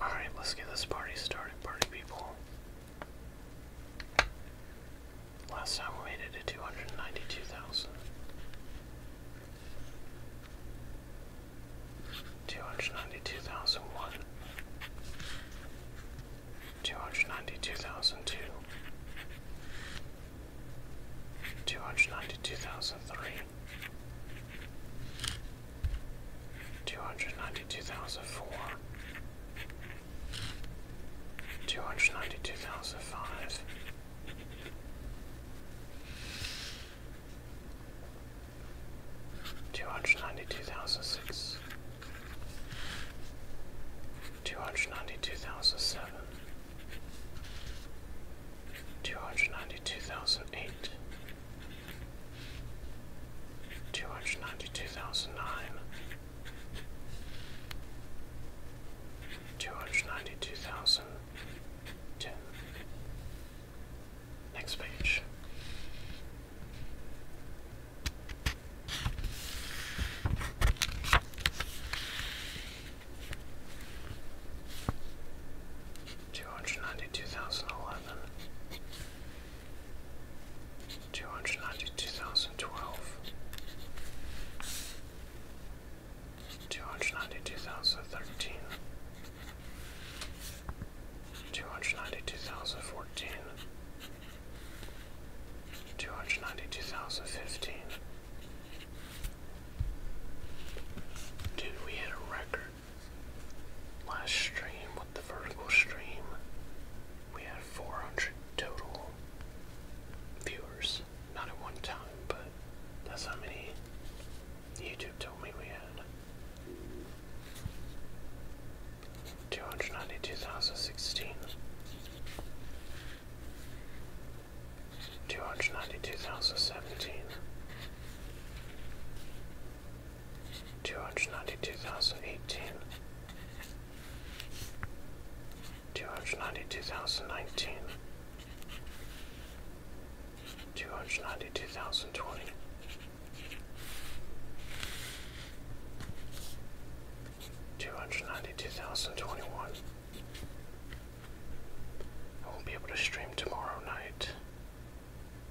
Alright, let's get this party started, party people. Last time we made it to 292,000. 292,001. 292,002. 292,003 two hundred ninety two thousand four, two hundred ninety two thousand five. Two hundred ninety two thousand six, two hundred ninety two thousand seven, two hundred ninety two thousand eight, two hundred ninety two thousand nine, two hundred ninety two thousand ten. Next page two hundred ninety two thousand eleven, two hundred ninety two thousand twelve, two hundred ninety two thousand thirteen, two hundred ninety two thousand fourteen. 292,015. Dude, we hit a record. Last stream with the vertical stream, we had 400 total viewers. Not at one time, but that's how many YouTube told me we had. 292,016. 292,017 two hundred ninety two thousand eighteen, two hundred ninety two thousand nineteen, two hundred ninety two thousand twenty. Two hundred ninety two thousand twenty one. I won't be able to stream tomorrow night.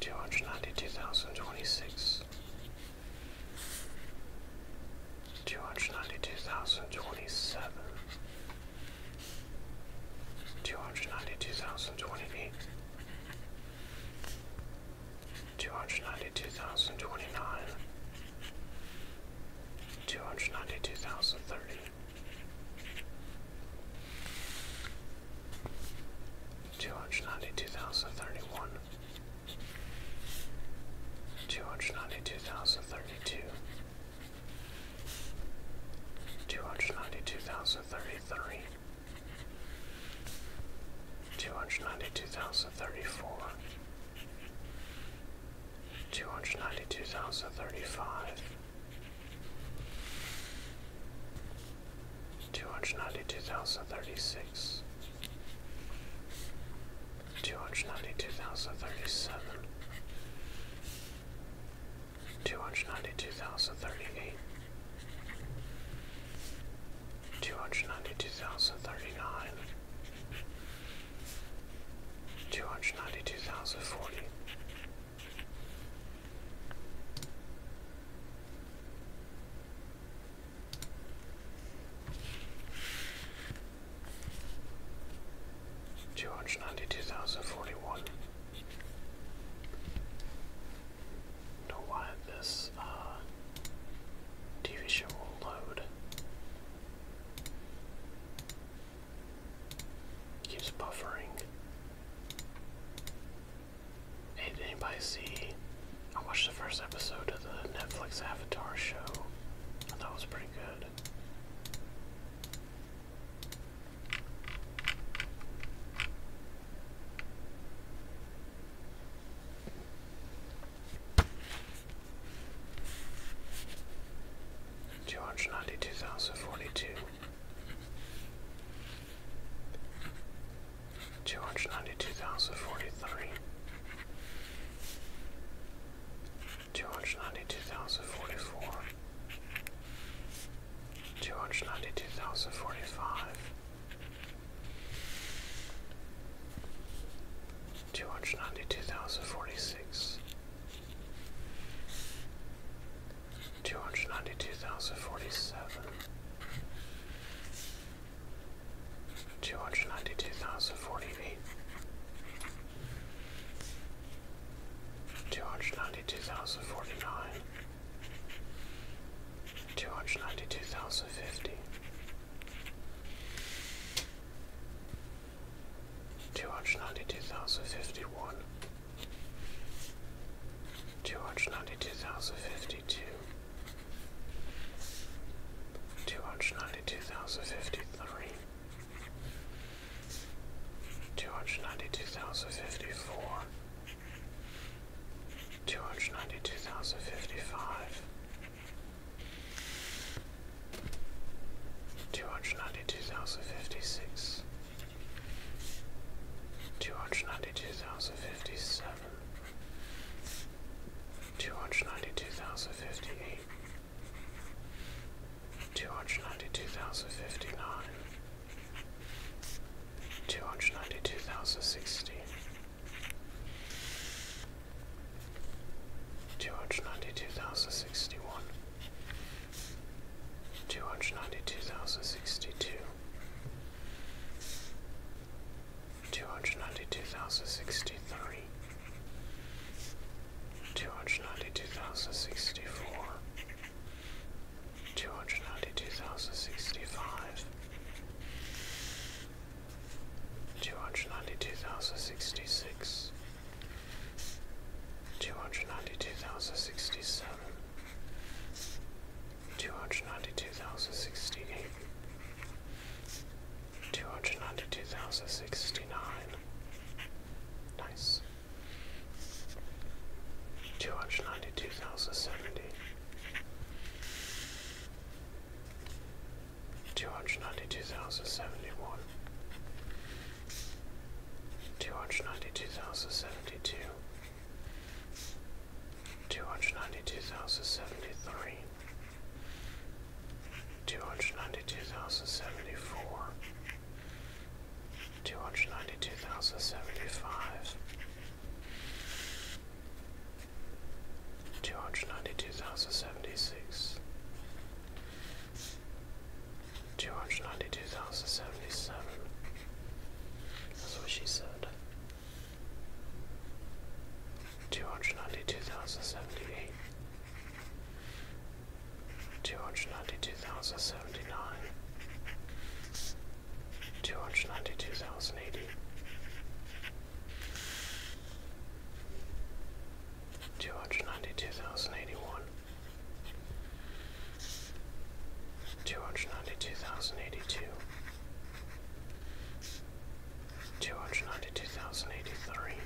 Two hundred ninety two thousand twenty six, two hundred ninety two thousand twenty seven, two hundred ninety two thousand twenty eight, two hundred ninety two thousand twenty nine, two Two hundred ninety-two thousand thirty. Two hundred ninety-two thousand thirty-one. two thousand thirty one, two hundred ninety two thousand thirty two. Two hundred ninety-two thousand thirty-three, two hundred ninety two thousand thirty four, two hundred ninety two thousand thirty five, two hundred ninety two thousand thirty six, two hundred ninety two thousand thirty seven. Two hundred ninety two thousand thirty eight, two hundred ninety two thousand thirty nine, two hundred ninety two thousand forty. Two hundred ninety two thousand forty one, know why this uh, TV show will load. keeps buffering. Hey, did anybody see? I watched the first episode of the Netflix Avatar show. I thought it was pretty good. Two hundred ninety two thousand forty two, two hundred ninety two thousand forty three, two hundred ninety two thousand forty four, two hundred ninety two thousand forty five. 292045 Two hundred ninety two thousand forty six, two hundred ninety two thousand forty seven, two hundred ninety two thousand forty eight, two hundred ninety two thousand forty nine two hundred ninety two thousand fifty. Two hundred ninety two thousand fifty one, two hundred ninety two thousand fifty two, two hundred ninety two thousand fifty three, two hundred ninety two thousand fifty four, two hundred ninety two thousand fifty five, two hundred ninety two thousand fifty six, two hundred ninety two thousand fifty seven, two hundred ninety two thousand fifty eight. Two hundred ninety two thousand fifty nine, two hundred ninety two thousand sixty, Two hundred ninety two thousand sixty one, two hundred ninety two thousand sixty two, two hundred ninety two thousand sixty three, two hundred ninety two thousand sixty four, two hundred ninety two thousand sixty five two hundred ninety two thousand sixty six, two hundred ninety two thousand sixty seven, two hundred ninety two thousand sixty eight, two hundred ninety two thousand sixty nine. Nice. Two hundred ninety two thousand seventy, two hundred ninety two thousand seventy one, two hundred ninety two thousand seventy two, two hundred ninety two thousand seventy three, two hundred ninety two thousand seventy four. 292,075 two hundred ninety two thousand seventy six, two hundred ninety two thousand seventy seven. That's what she said. Two hundred ninety two thousand seventy eight. Two hundred ninety two thousand seventy nine, two hundred ninety two thousand eighty, Two hundred ninety two thousand eighty one, two hundred ninety two thousand eighty two, two hundred ninety two thousand eighty three,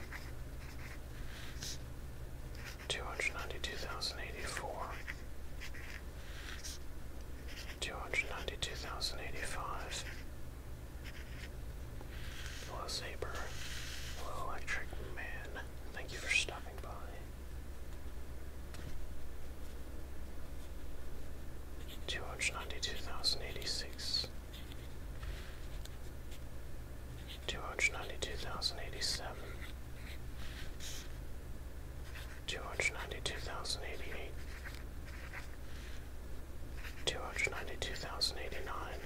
two hundred ninety two thousand eighty four, two hundred ninety two thousand eighty five. 292085 Hello, Saber. Hello, Electric Man. Thank you for stopping by. Two hundred ninety-two thousand eighty-six. Two hundred ninety-two thousand eighty-seven. Two hundred ninety-two thousand eighty-eight two hundred ninety two thousand eighty nine,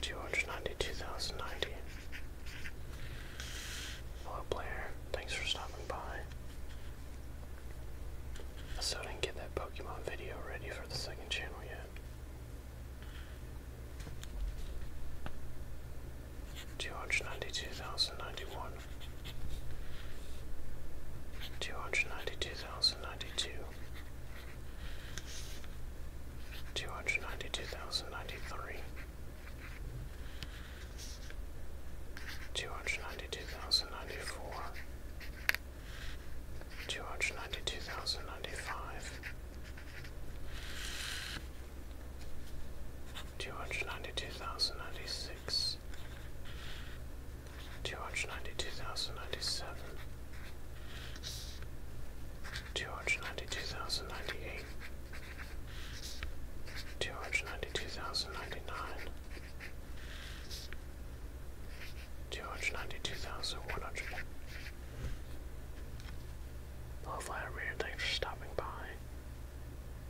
two hundred ninety two thousand ninety. Hello, player. Thanks for stopping by. I didn't get that Pokemon video ready for the second channel yet. Two hundred ninety two thousand ninety one two hundred ninety two thousand ninety two, two hundred ninety two thousand ninety three, two hundred ninety two thousand ninety four, two hundred ninety two thousand ninety five. Two hundred ninety two thousand ninety six, two hundred ninety two thousand ninety seven, two hundred ninety two thousand ninety eight, two hundred ninety two thousand ninety nine, two hundred ninety two thousand one hundred. Hello, Vladimir, thanks for stopping by.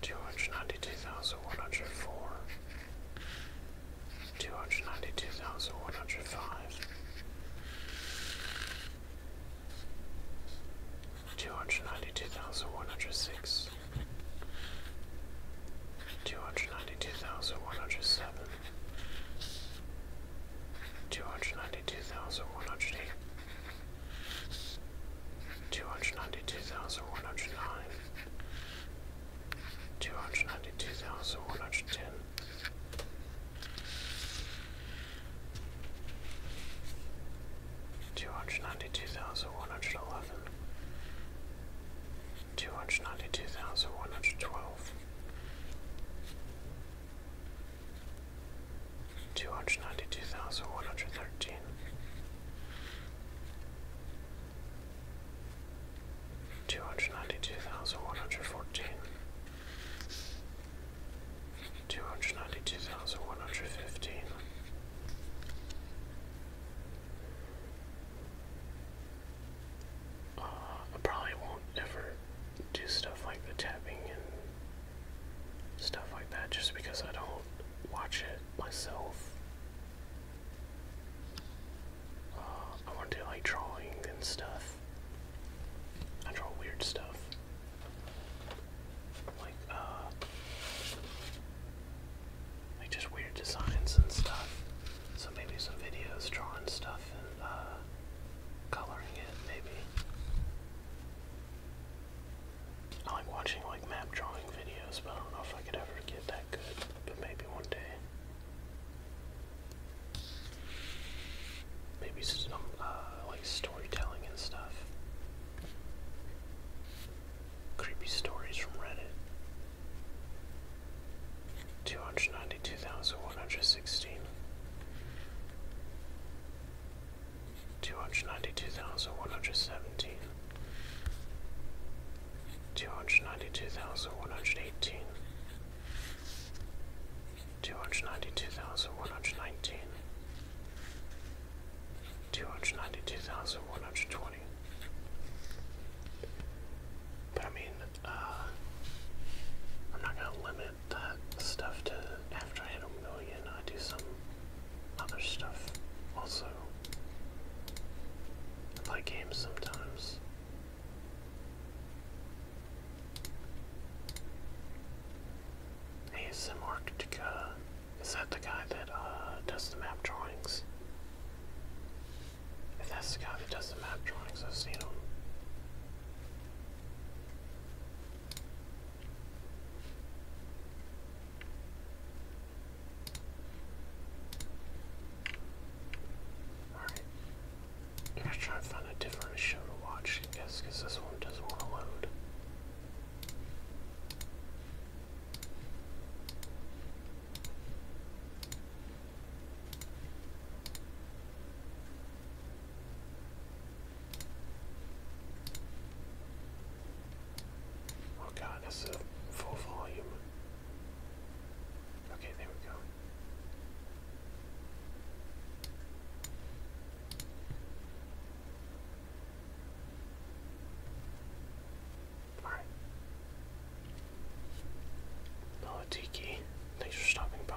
two hundred ninety two thousand one hundred four, two hundred ninety two thousand one hundred five, two hundred ninety two thousand one hundred six, two hundred ninety two thousand one hundred seven. Two hundred ninety two thousand one hundred eight, two hundred ninety-two thousand one hundred nine, two hundred ninety-two thousand one hundred ten, two hundred ninety-two thousand one hundred eleven, two hundred ninety-two thousand one hundred twelve. Two hundred ninety two thousand one hundred thirteen, Two hundred ninety-two thousand one hundred fourteen. uh, I probably won't ever do stuff like the tapping and stuff like that just because I don't watch it myself uh, I want to do like drawing and stuff. I draw weird stuff. Like, uh, like just weird designs and stuff. So maybe some videos drawing stuff and, uh, coloring it, maybe. I like watching like map drawing videos, but I don't know if I could ever get that good. But maybe one day. Maybe some uh, like storytelling and stuff. Creepy stories from Reddit. 292,116. 292,117 two hundred ninety two thousand one hundred eighteen, two hundred ninety two thousand one hundred nineteen, two hundred ninety two thousand one hundred twenty. But I mean, uh, I'm not gonna limit that stuff to after I hit a million, I do some other stuff also. play games sometimes. ASM is that the guy that uh, does the map drawings? If that's the guy that does the map drawings, I've seen him. Alright. I'm gonna try and find a different show to watch, I guess, because this one doesn't want to load. Oh god, that's a full volume. Okay, there we go. Alright. Hello, oh, Thanks for stopping by.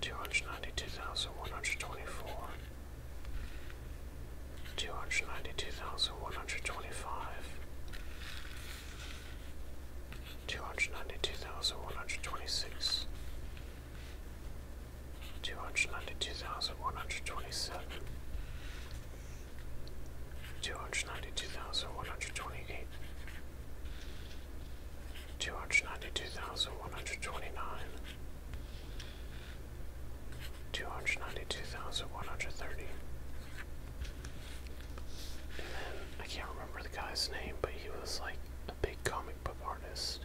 two hundred ninety two thousand one hundred twenty four, two hundred ninety two thousand one hundred twenty five, two hundred ninety two thousand one hundred twenty six, two hundred ninety two thousand one hundred twenty seven. Two hundred ninety two thousand one hundred twenty eight, two hundred ninety two thousand one hundred twenty nine, two hundred ninety two thousand one hundred thirty. I can't remember the guy's name, but he was like a big comic book artist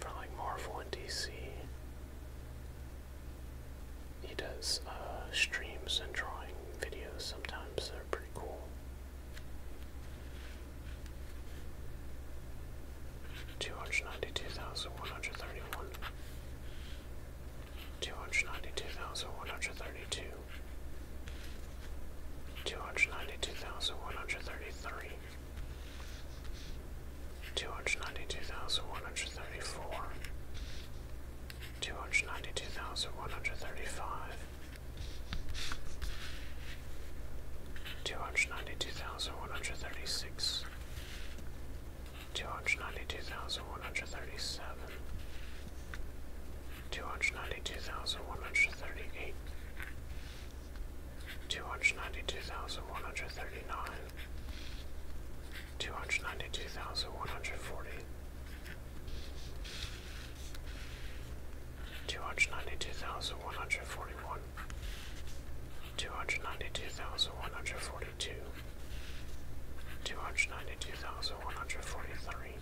for like Marvel and DC. He does uh, streams and drawing videos sometimes, they're pretty cool. Two hundred ninety two thousand one hundred thirty one, two hundred ninety two thousand one hundred thirty two, two hundred ninety two thousand one hundred thirty three, two hundred ninety two thousand one hundred thirty four, two hundred ninety two thousand one hundred thirty five. Two hundred ninety two thousand one hundred thirty six, two hundred ninety two thousand one hundred thirty seven, two hundred ninety two thousand one hundred thirty eight, two hundred ninety two thousand one hundred thirty nine, two hundred ninety two thousand one hundred forty. Two hundred ninety two thousand one hundred forty one, two hundred ninety two thousand one hundred forty two, two hundred ninety two thousand one hundred forty three,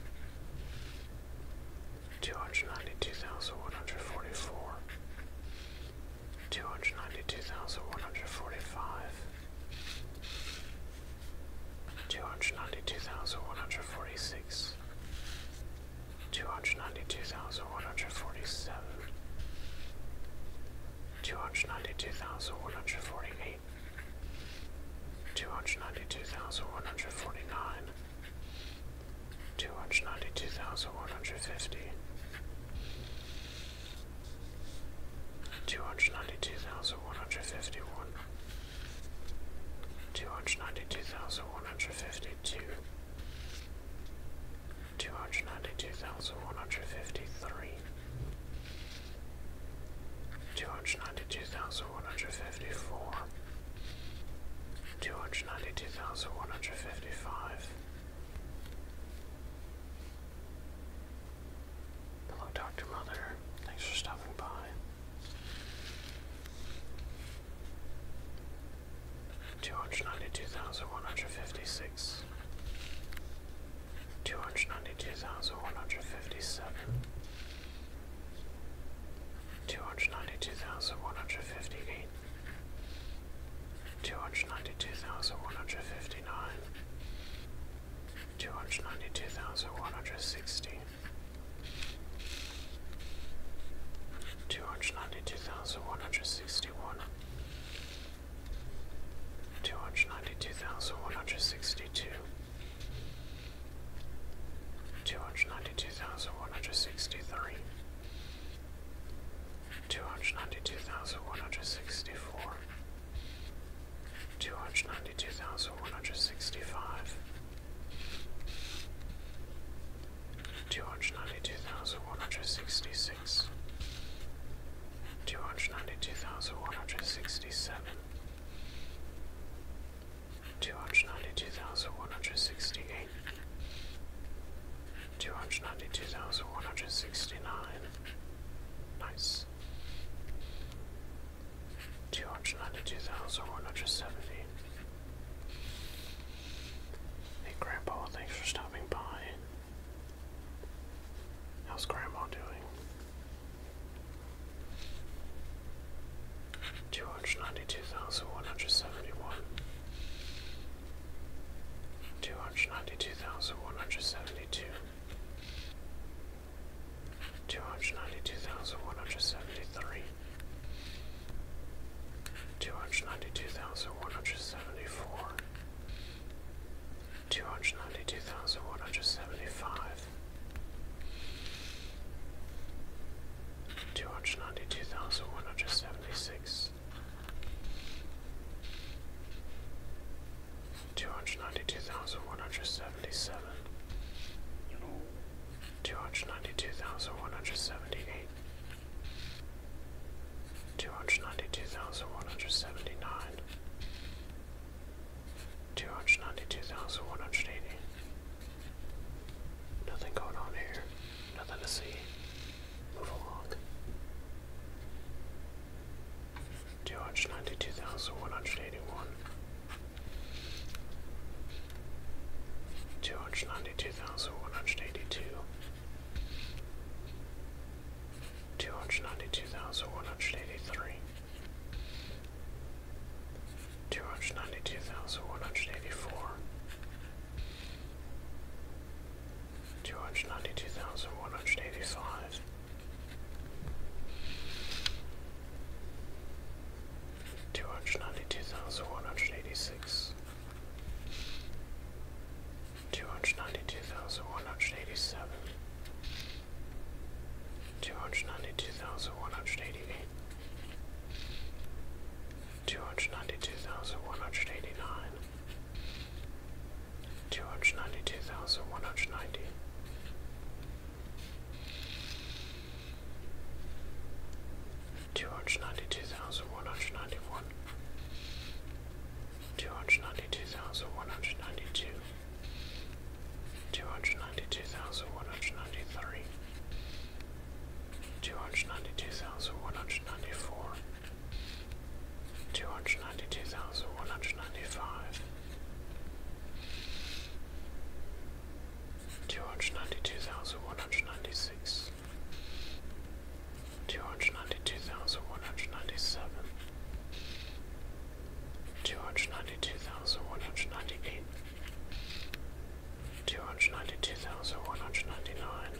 two hundred ninety two thousand one hundred forty four, two hundred ninety two thousand one hundred forty five two hundred ninety two thousand one hundred forty six, two hundred ninety two thousand one hundred forty seven, two hundred ninety two thousand one hundred forty eight, two hundred ninety two thousand one hundred forty nine, two hundred ninety two thousand one hundred fifty. Two hundred ninety two thousand one hundred fifty one, two hundred ninety two thousand one hundred fifty two, two hundred ninety two thousand one hundred fifty three, two hundred ninety two thousand one hundred fifty four, two hundred ninety two thousand one hundred fifty five. Hello, Dr. Mother. Thanks for stopping by. Two hundred ninety two thousand one hundred fifty six, two hundred ninety two thousand one hundred fifty seven, two hundred ninety two thousand one hundred fifty eight, two hundred ninety two thousand one hundred fifty nine, two hundred ninety two thousand one hundred sixty. Two hundred ninety-two thousand one hundred sixty-one, two hundred ninety-two thousand one hundred sixty-two, two hundred ninety-two thousand one hundred sixty-three, two hundred ninety-two thousand one hundred sixty-four, two hundred ninety-two thousand one hundred sixty-five. 292,165 Two hundred ninety two thousand one hundred sixty six, two hundred ninety two thousand one hundred sixty seven, two hundred ninety two thousand one hundred sixty eight, two hundred ninety two thousand one hundred sixty nine, nice, two hundred ninety-two thousand one hundred seventy. Hey, Grandpa, thanks for stopping by. How's Grandma doing? Two hundred ninety-two thousand one hundred seventy-one. Two hundred ninety-two thousand one hundred seventy-two two hundred ninety-two thousand one hundred seventy-three, two hundred ninety-two thousand one hundred seventy-four, two hundred ninety-two thousand one hundred seventy-five, two hundred ninety-two thousand one hundred seventy-six. Two hundred ninety-two thousand one hundred seventy-seven, two hundred ninety-two thousand one hundred seventy-eight, two hundred ninety-two thousand one hundred seventy-nine, two hundred ninety-two thousand one hundred eighty. Nothing going on here. Nothing to see. Move along. Two hundred ninety-two thousand one hundred eighty-one. Two hundred ninety-two thousand one hundred eighty-two, two hundred ninety-two thousand one hundred eighty-three, two hundred ninety-two thousand one hundred eighty-four, two hundred ninety-two thousand one hundred eighty-five two hundred ninety two thousand one hundred eighty six, two hundred ninety two thousand one hundred eighty seven, two hundred ninety two thousand one hundred eighty eight. Two hundred ninety two thousand one hundred eighty nine, two hundred ninety two thousand one hundred ninety, Two hundred ninety two thousand one hundred ninety one, two hundred ninety two thousand one hundred ninety two, two hundred ninety two thousand one hundred ninety three, two hundred ninety two thousand one hundred ninety four, two hundred ninety two thousand one hundred ninety five two hundred ninety two thousand one hundred ninety six, two hundred ninety two thousand one hundred ninety seven, two hundred ninety two thousand one hundred ninety eight, two hundred ninety two thousand one hundred ninety nine,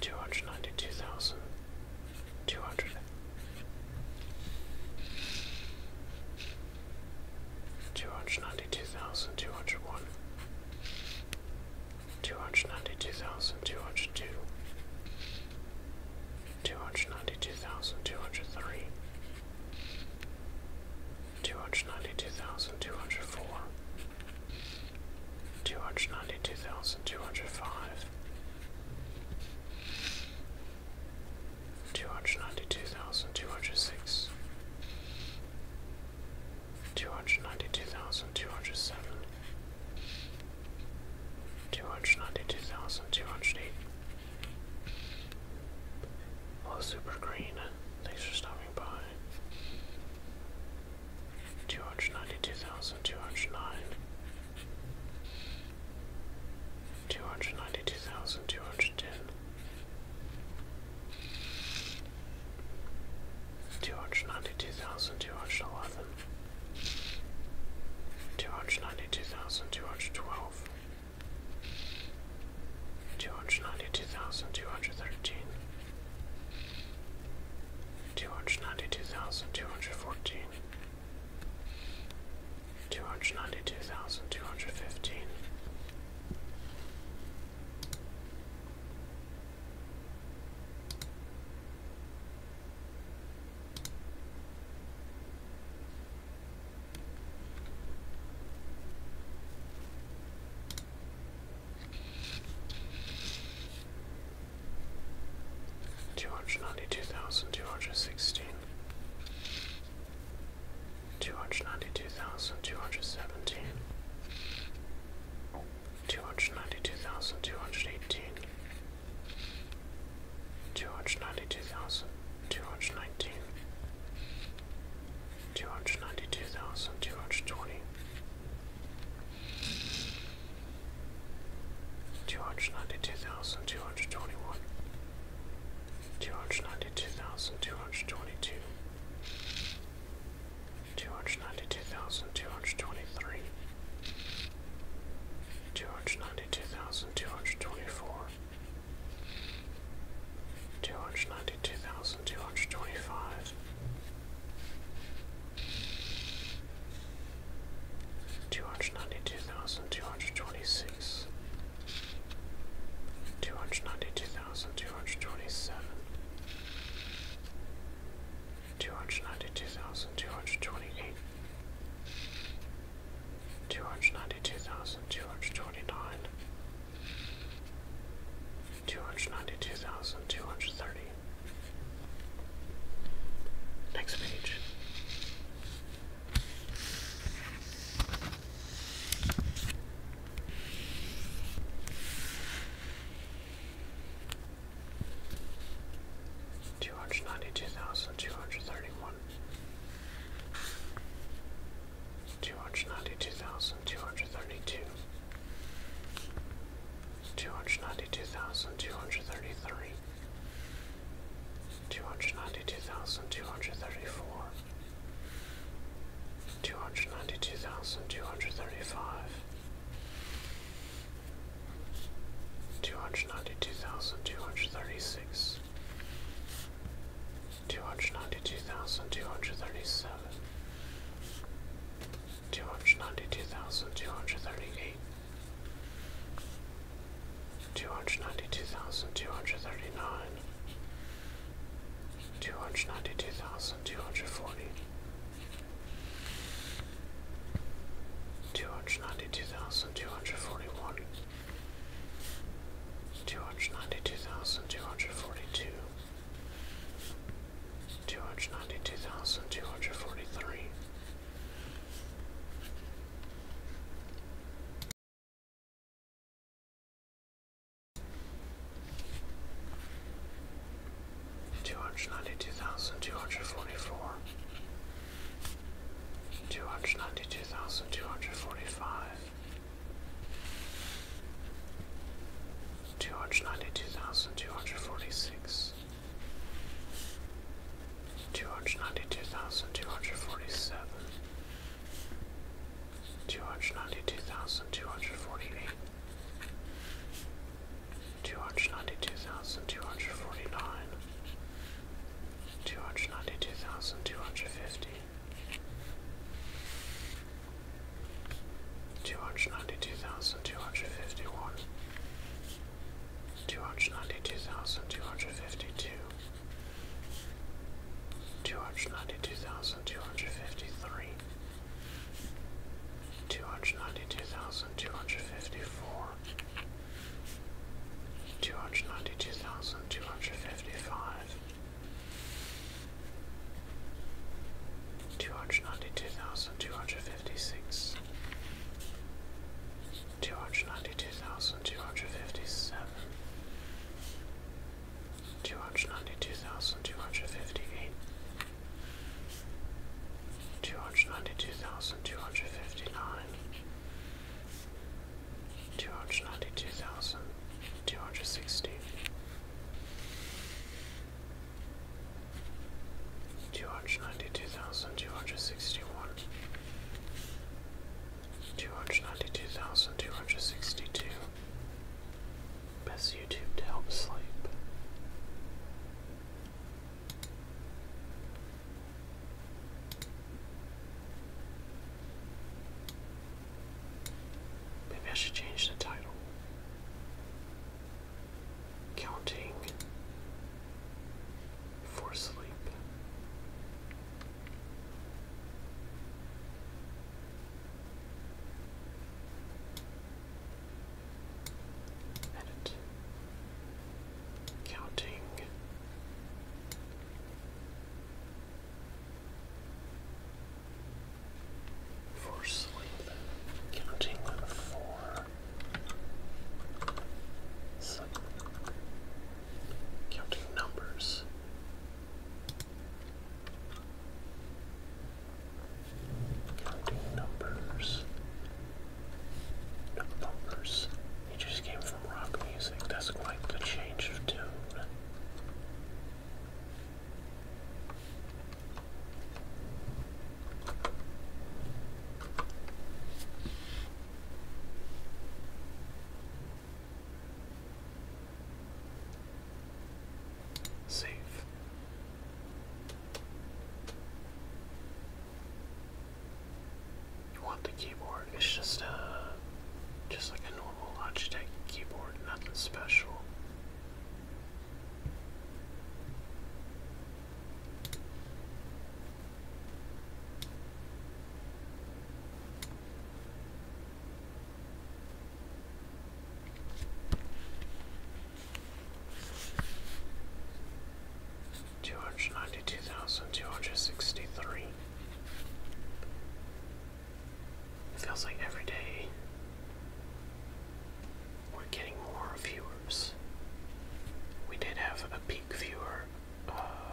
two hundred ninety two thousand two hundred two hundred ninety two thousand two hundred one, two hundred ninety two thousand two hundred two, two hundred ninety two thousand two hundred three, two hundred ninety two thousand two hundred four, two hundred ninety two thousand two hundred five two hundred ninety-two thousand two hundred six, two hundred ninety-two thousand two hundred seven, two hundred ninety-two thousand two hundred eight. Hello, Super Green. Uh, thanks for stopping by. Two hundred ninety-two thousand two hundred nine two hundred ninety two thousand two hundred ten, two hundred ninety two thousand two hundred eleven, two hundred ninety two thousand two hundred twelve, two hundred ninety two thousand two hundred thirteen. Two hundred ninety two thousand two hundred fourteen, two hundred ninety two thousand two hundred fifteen. Two hundred ninety two thousand two hundred sixteen, Two hundred ninety-two thousand two hundred seventeen. Two hundred ninety-two thousand two hundred eighteen. Two hundred ninety-two thousand two hundred nineteen. Two hundred ninety-two thousand two hundred twenty. 292,221 two hundred ninety two thousand two hundred twenty two, two hundred ninety two thousand two hundred twenty three, two hundred ninety two thousand two hundred twenty four, two hundred ninety two thousand two hundred twenty five. 292,226 two hundred ninety two thousand two hundred twenty seven, two hundred ninety two thousand two hundred twenty eight, two hundred ninety two thousand two hundred twenty nine, two hundred ninety two thousand two hundred thirty. Next page. Two hundred ninety two thousand two hundred thirty one, two hundred ninety two thousand two hundred thirty two, two hundred ninety two thousand two hundred thirty three, two hundred ninety two thousand two hundred thirty four two hundred ninety two thousand two hundred thirty five two hundred ninety two thousand two hundred thirty six two hundred ninety two thousand two hundred thirty seven two hundred ninety two thousand two hundred thirty eight Two hundred ninety two thousand two hundred thirty nine, two hundred ninety two thousand two hundred forty two hundred ninety two thousand two hundred forty one two hundred ninety two thousand two hundred forty two two hundred ninety two thousand two hundred forty three Two hundred ninety-two thousand two hundred forty-four, two hundred ninety-two thousand two hundred forty-five, two hundred ninety-two thousand two hundred forty-six, two hundred ninety-two thousand two hundred forty-seven two hundred ninety two thousand two hundred forty eight, two hundred ninety two thousand two hundred forty nine, two hundred ninety two thousand two hundred fifty. 292,251 292,252 two hundred ninety two thousand two hundred fifty three, two hundred ninety two thousand two hundred fifty four, two hundred ninety two thousand two hundred fifty five, two hundred ninety two thousand two hundred fifty six. Two hundred ninety two thousand two hundred fifty seven, two hundred ninety-two thousand two hundred fifty-eight, two hundred ninety-two thousand two hundred fifty-nine, two hundred ninety-two thousand two hundred sixty. 292,261 two hundred ninety two thousand two hundred sixty two. Best YouTube to help sleep. Maybe I should change the title. Counting for sleep. Edit. Counting. For sleep, counting for sleep, counting numbers Counting numbers. numbers. He just came from rock music. That's quite the change of tune. Save. You want the keyboard? It's just a, just like a normal Logitech keyboard, nothing special. Two hundred ninety two thousand two hundred sixty three. feels like every day we're getting more viewers. We did have a peak viewer uh,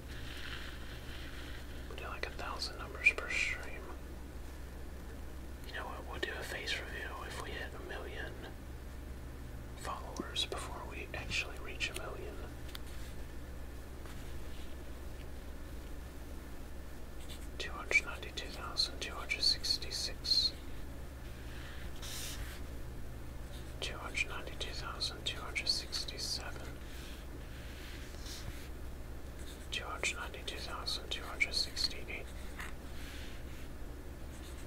we do like a thousand numbers per stream. You know what? We'll do a face review if we hit a million followers before we actually reach a million. Two hundred ninety two thousand two hundred sixty six. Two hundred ninety two thousand two hundred sixty seven. 292267 two hundred ninety two thousand two hundred sixty eight,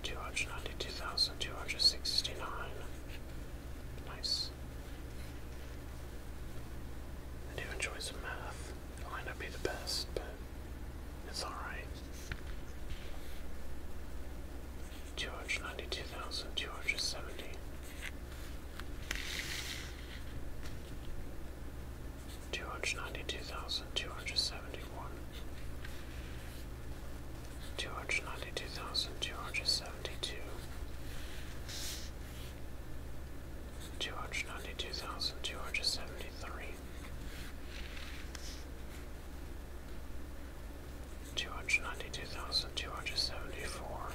two hundred ninety two thousand two hundred sixty nine. Nice. I do enjoy some math. It might not be the best, but it's alright. Two hundred ninety two thousand two hundred seventy. 292270 Two hundred ninety-two thousand two hundred seventy-one, two hundred ninety-two thousand two hundred seventy-two, two hundred ninety-two thousand two hundred seventy-three, two hundred ninety-two thousand two hundred seventy-four. 292273 292274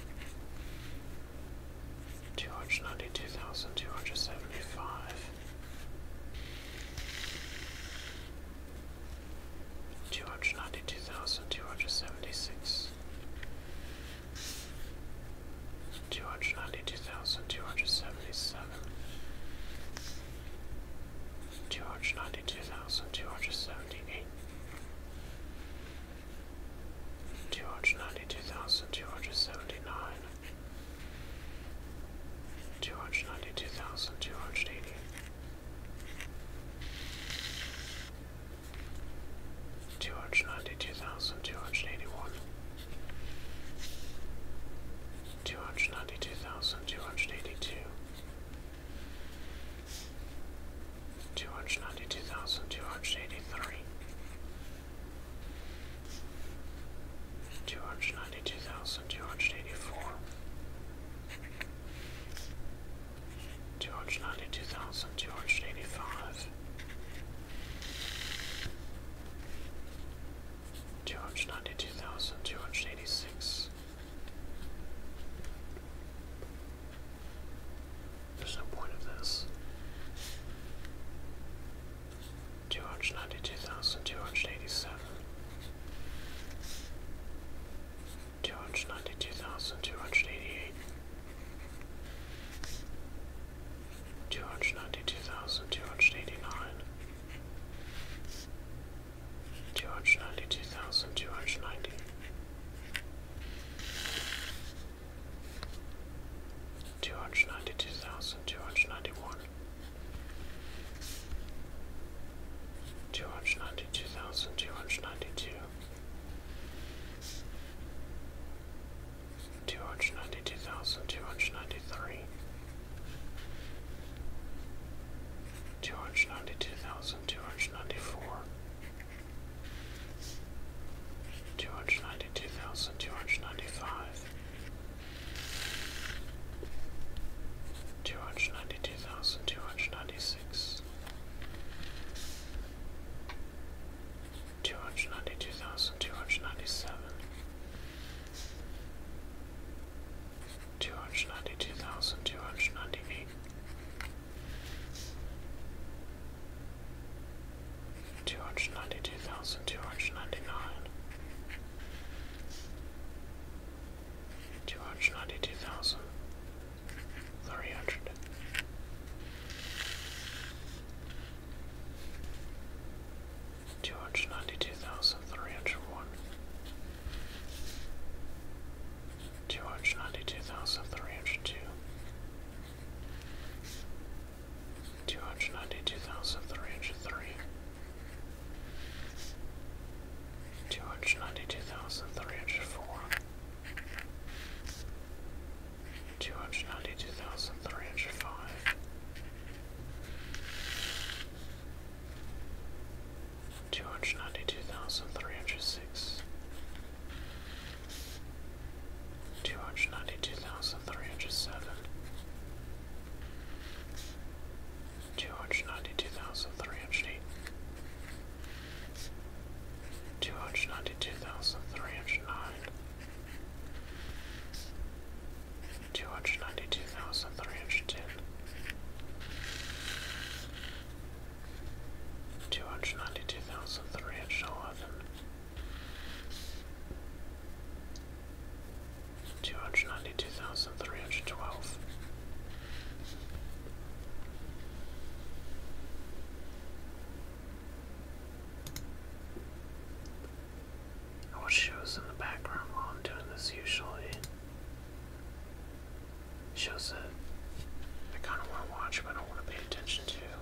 two hundred ninety two thousand two hundred seventy five. Two hundred ninety two thousand two hundred seventy six, two hundred ninety two thousand two hundred seventy seven, two hundred ninety two thousand two hundred seventy eight, two hundred ninety two thousand two hundred seventy nine, two hundred ninety two thousand two hundred eighty. Two hundred ninety two thousand two hundred eighty one, two hundred ninety two thousand two hundred eighty two, two hundred ninety two thousand two hundred eighty three, two hundred ninety two thousand two hundred eighty four, two hundred ninety two thousand two hundred eighty five. Two hundred ninety two thousand two hundred eighty six, there's no point of this. Two hundred ninety two thousand two hundred eighty seven. Two hundred ninety two thousand two hundred eighty eight. Two hundred ninety two thousand two hundred eighty nine. Two hundred ninety two thousand two hundred ninety two hundred ninety two thousand two hundred ninety one, two hundred ninety two thousand two hundred ninety two, two hundred ninety two thousand two hundred ninety three. Two hundred ninety two thousand two hundred ninety four, two hundred ninety two thousand two hundred ninety five, two hundred ninety two thousand two hundred ninety six, two hundred ninety two thousand two hundred ninety seven. Two hundred ninety two thousand two hundred ninety two hundred ninety two thousand two hundred ninety nine, two hundred ninety two thousand three hundred. Two hundred ninety two thousand three hundred one, two hundred ninety two thousand three hundred two, two hundred ninety two thousand three hundred three, two hundred ninety two thousand three hundred four, two hundred ninety two thousand three hundred five. Two hundred ninety two thousand three hundred six, two hundred ninety-two thousand three hundred seven, two hundred ninety-two thousand three hundred eight, two hundred ninety-two thousand three hundred nine, two hundred ninety-two thousand three hundred ten two hundred ninety two thousand three hundred eleven, two hundred ninety two thousand three hundred twelve, I wish she in the background while I'm doing this usually. Shows that I kind of want to watch, but I don't want to pay attention to.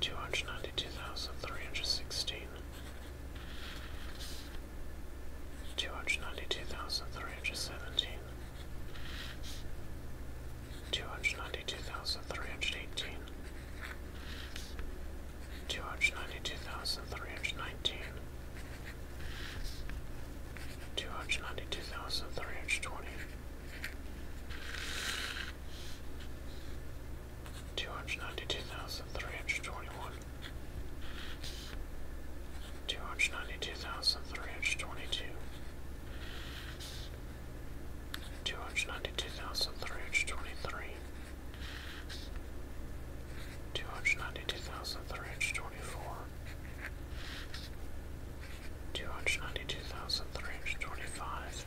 Two hundred ninety-two thousand three hundred sixteen. Two hundred ninety-two thousand three hundred seventeen. Two hundred ninety-two thousand three hundred eighteen. Two hundred ninety-two thousand three hundred nineteen. Two hundred ninety-two thousand three hundred twenty. Two hundred ninety two thousand three hundred twenty one, two hundred ninety two thousand three hundred twenty two, two hundred ninety two thousand three hundred twenty three, two hundred ninety two thousand three hundred twenty four, two hundred ninety two thousand three hundred twenty five.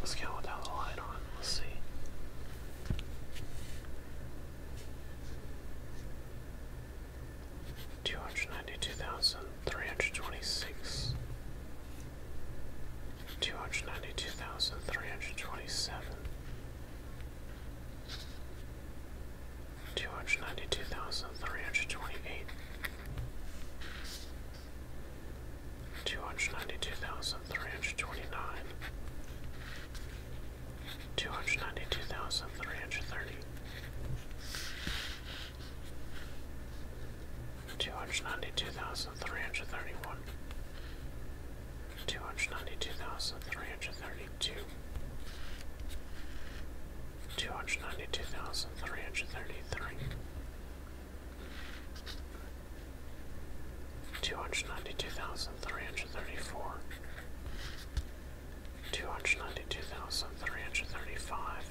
Let's go without the light on. Let's see. Two hundred ninety-two thousand three hundred twenty-six, two hundred ninety-two thousand three hundred twenty-seven, two hundred ninety two thousand three hundred twenty eight, two hundred ninety two thousand three hundred twenty nine, two hundred ninety two thousand three hundred thirty. 292,331 292,332 two hundred ninety two thousand three hundred thirty three, two hundred ninety two thousand three hundred thirty four, two hundred ninety two thousand three hundred thirty five.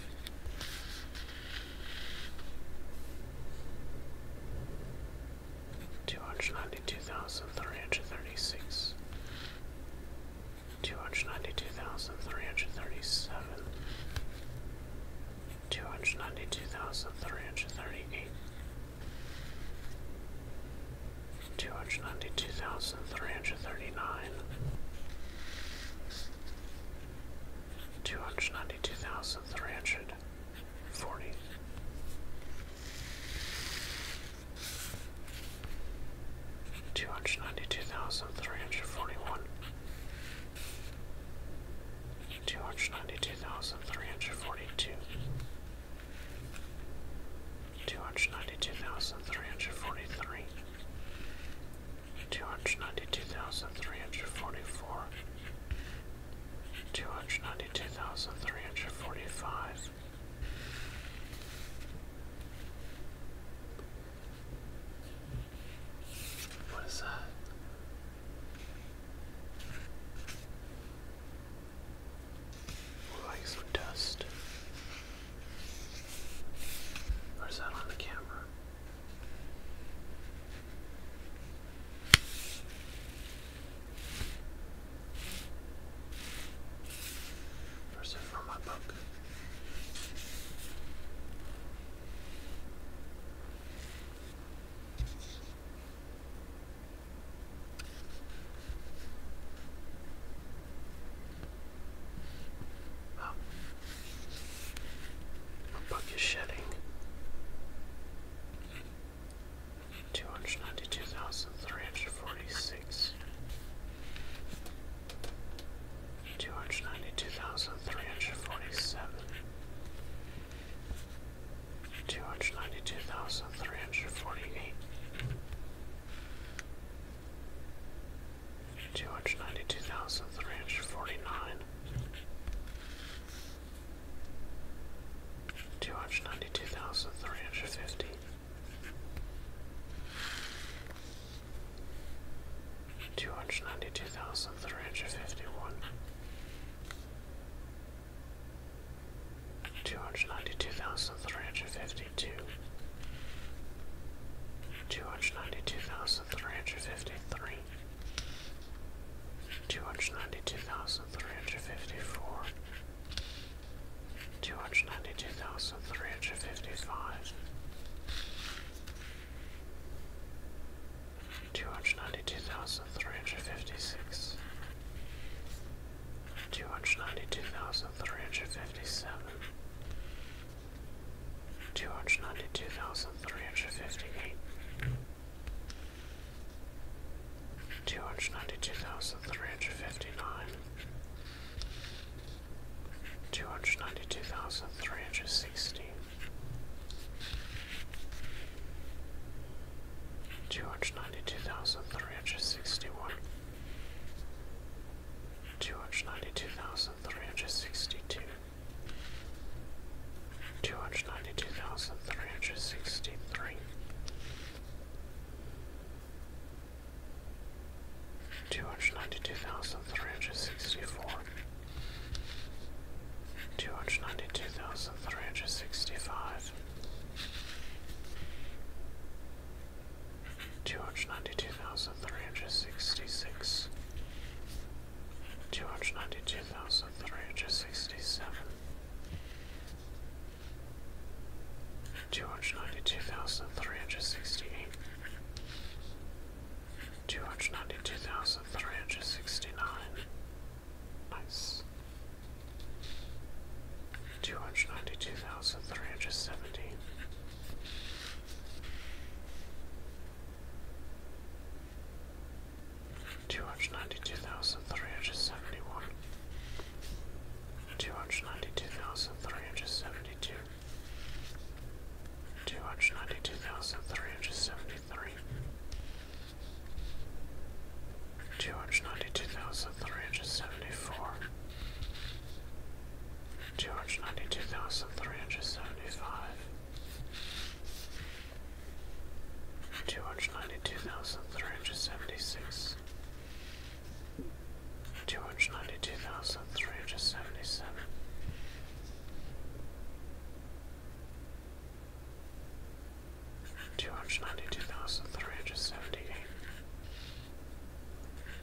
Two hundred ninety two thousand three hundred thirty six, two hundred ninety two thousand three hundred thirty seven, two hundred ninety two thousand three hundred thirty eight, two hundred ninety two thousand three hundred thirty nine, two hundred ninety two thousand three hundred forty. Two hundred ninety-two thousand three hundred forty-one, two hundred ninety-two thousand three hundred forty-two, two hundred ninety-two thousand three hundred forty-three, two hundred ninety-two thousand three hundred forty-four, two hundred ninety-two thousand three hundred forty-five. What is that? Ooh, like some dust. Or that on the camera? First from my book. My book is shedding. Two hundred ninety two thousand three hundred forty six, Two hundred ninety-two thousand three hundred forty-seven, two hundred ninety-two thousand three hundred forty-eight, two hundred ninety-two thousand three hundred forty-nine, two hundred ninety-two thousand three hundred fifty. Two hundred ninety-two thousand three hundred fifty-one, two hundred ninety-two thousand three hundred fifty-two, two hundred ninety-two thousand three hundred fifty-three, two hundred ninety-two thousand three hundred fifty-four. 292353 292354 two hundred ninety two thousand three hundred fifty five, two hundred ninety two thousand three hundred fifty six, two hundred ninety two thousand three hundred fifty seven, two hundred ninety two thousand three hundred fifty eight. Two hundred ninety two thousand three hundred fifty nine, two hundred ninety two thousand three hundred sixty two hundred ninety two thousand three hundred sixty one two hundred ninety two thousand three hundred sixty two Two hundred ninety two thousand three hundred sixty three, two hundred ninety two thousand three hundred sixty four, two hundred ninety two thousand three hundred sixty five, two hundred ninety two thousand three hundred sixty six, two hundred ninety two thousand three hundred sixty seven two hundred ninety two thousand three hundred sixty eight, two hundred ninety two thousand three hundred sixty nine. Nice. Two hundred ninety two thousand three hundred seventeen. Two hundred ninety two thousand three hundred seventy one, two hundred ninety two thousand three hundred seventy two, two hundred ninety two thousand three hundred seventy three two hundred ninety two thousand three hundred seventy four two hundred ninety two thousand three hundred seventy five Two hundred ninety two thousand three hundred seventy six, two hundred ninety two thousand three hundred seventy seven. Two hundred ninety two thousand three hundred seventy eight,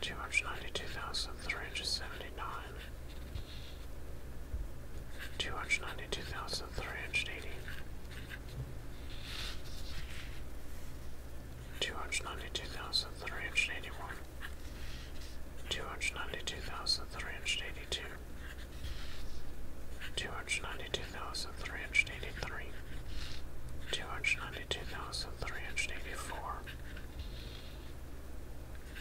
two hundred ninety two thousand three hundred seventy nine, two hundred ninety two thousand three hundred eighty, two hundred ninety two thousand three hundred eighty one, two hundred ninety two thousand three hundred eighty two, two hundred ninety two thousand three hundred eighty three, two hundred ninety two thousand three hundred eighty four,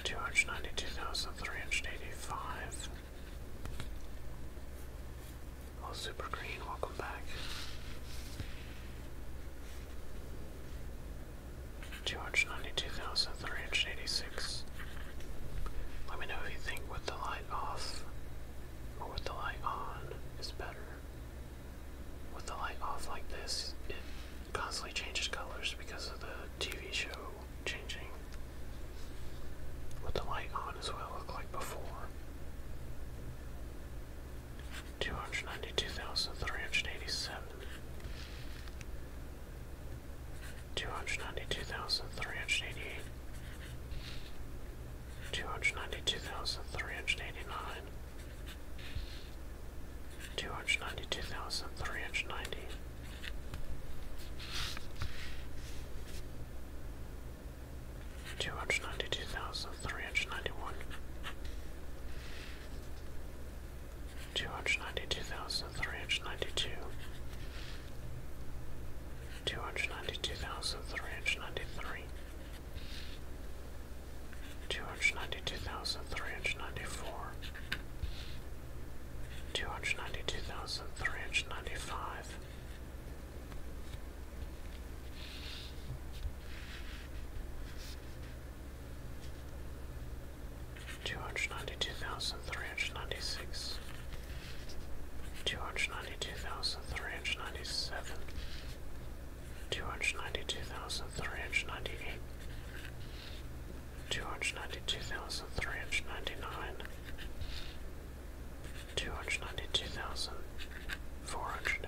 two hundred ninety two thousand three hundred eighty five. Well, Super Green, welcome back. Two hundred ninety-two thousand three hundred eighty-six. Let me know if you think with the light off or with the light on is better. With the light off like this, it constantly changes colors because of the TV show changing. With the light on is what it like before two hundred ninety two thousand three hundred eighty seven, two hundred ninety two thousand three hundred eighty eight, two hundred ninety two thousand three hundred eighty nine, two hundred ninety two thousand three hundred ninety. Two hundred ninety two thousand three hundred ninety one, two hundred ninety-two thousand three hundred ninety-two, two hundred ninety-two thousand three hundred ninety-three, two hundred ninety-two thousand three hundred ninety-four, two hundred ninety-two thousand three hundred ninety-five two hundred ninety two thousand three hundred ninety six, two hundred ninety two thousand three hundred ninety seven, two hundred ninety two thousand three hundred ninety eight, two hundred ninety two thousand three hundred ninety nine, two hundred ninety two thousand four hundred.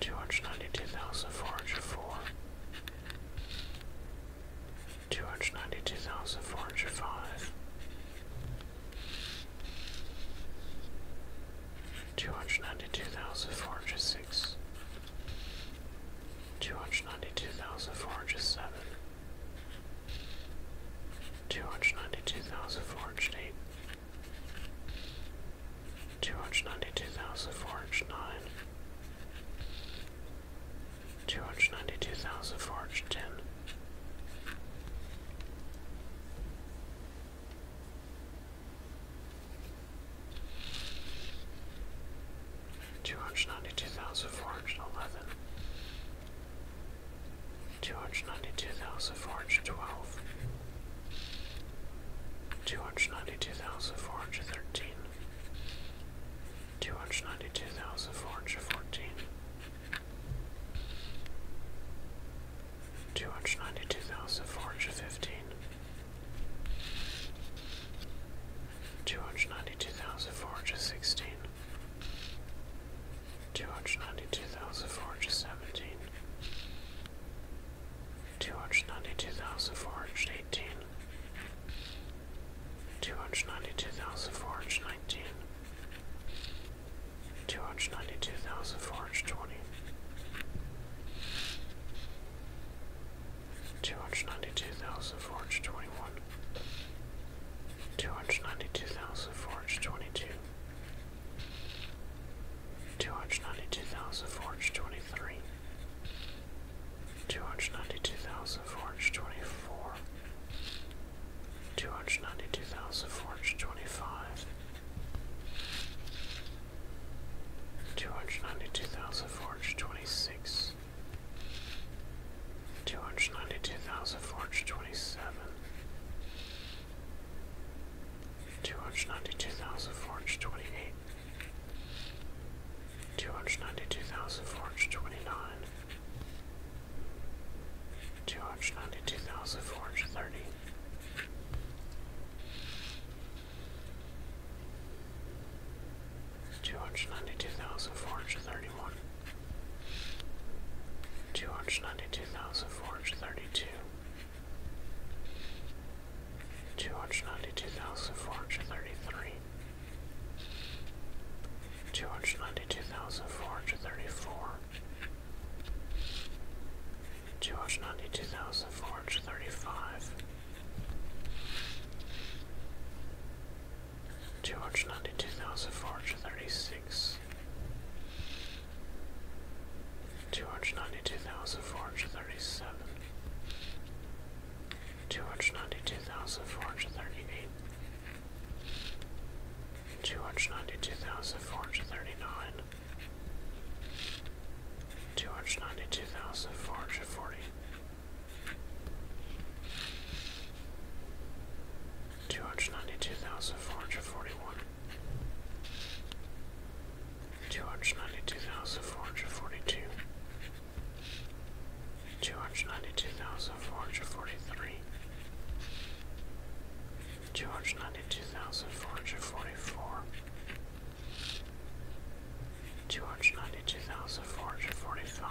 Two hundred ninety-two thousand four hundred four, two hundred ninety-two thousand four hundred five, two hundred ninety-two thousand four hundred six, two hundred ninety-two thousand four hundred seven. Two hundred ninety-two thousand four hundred eight, Two hundred ninety-two thousand four hundred nine, two hundred ninety-two thousand four hundred ten, two hundred ninety-two thousand four hundred eleven two hundred ninety two thousand four hundred twelve, two hundred ninety two thousand four hundred thirteen, two hundred ninety two thousand four hundred fourteen, two hundred ninety two thousand four hundred fifteen, two hundred ninety two thousand four hundred sixteen two hundred ninety-two thousand four hundred seventeen, two hundred ninety-two thousand four hundred eighteen, two hundred ninety-two thousand four hundred nineteen, two hundred ninety-two thousand four hundred twenty. 292,421 292,422 Two hundred ninety-two thousand four hundred twenty-three, two hundred ninety-two thousand four hundred twenty-four, two hundred ninety-two thousand four hundred twenty-five, two hundred ninety-two thousand four hundred twenty-six, two hundred ninety-two thousand four hundred twenty-seven two hundred ninety two thousand four hundred twenty eight, two hundred ninety two thousand four hundred twenty nine, two hundred ninety two thousand four hundred thirty. Two hundred ninety two thousand four hundred thirty one, two hundred ninety two thousand four hundred thirty two, two. Two hundred ninety two thousand four hundred thirty three, two hundred ninety two thousand four hundred thirty four, two hundred ninety two thousand four hundred thirty five, two hundred ninety two thousand four hundred thirty six. 292436 two hundred ninety two thousand four hundred thirty seven, two hundred ninety two thousand four hundred thirty eight, two hundred ninety two thousand four hundred thirty nine, two hundred ninety two thousand four hundred forty. 292,441 Two hundred ninety two thousand four hundred forty two, two hundred ninety two thousand four hundred forty three, two hundred ninety two thousand four hundred forty four, two hundred ninety two thousand four hundred forty five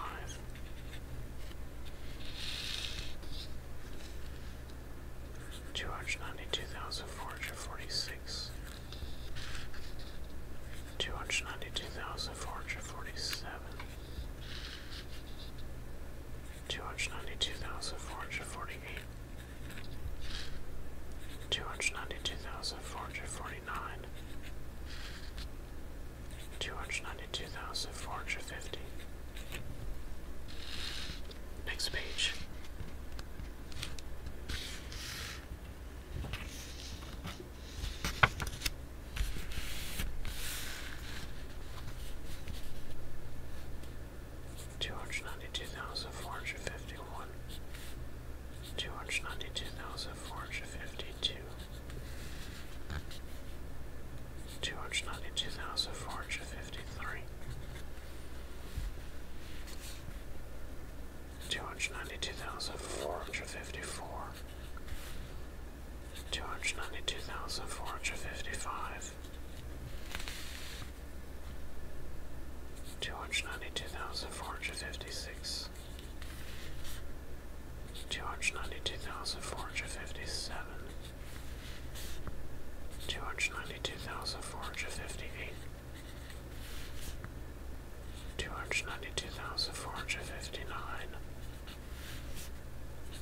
two hundred ninety two thousand four hundred forty six, two hundred ninety two thousand four hundred forty seven, two hundred ninety two thousand four hundred forty eight. Two hundred ninety two thousand four hundred forty nine, two hundred ninety two thousand four hundred fifty, Next page. Two hundred ninety two thousand four hundred fifty one, two hundred ninety two thousand four hundred fifty two, two hundred ninety two thousand four hundred fifty three, Two hundred ninety two thousand four hundred fifty four, two hundred ninety two thousand four hundred fifty five, two hundred ninety two thousand four hundred fifty six, two hundred ninety two thousand four hundred fifty seven two hundred ninety two thousand four hundred fifty eight, two hundred ninety two thousand four hundred fifty nine,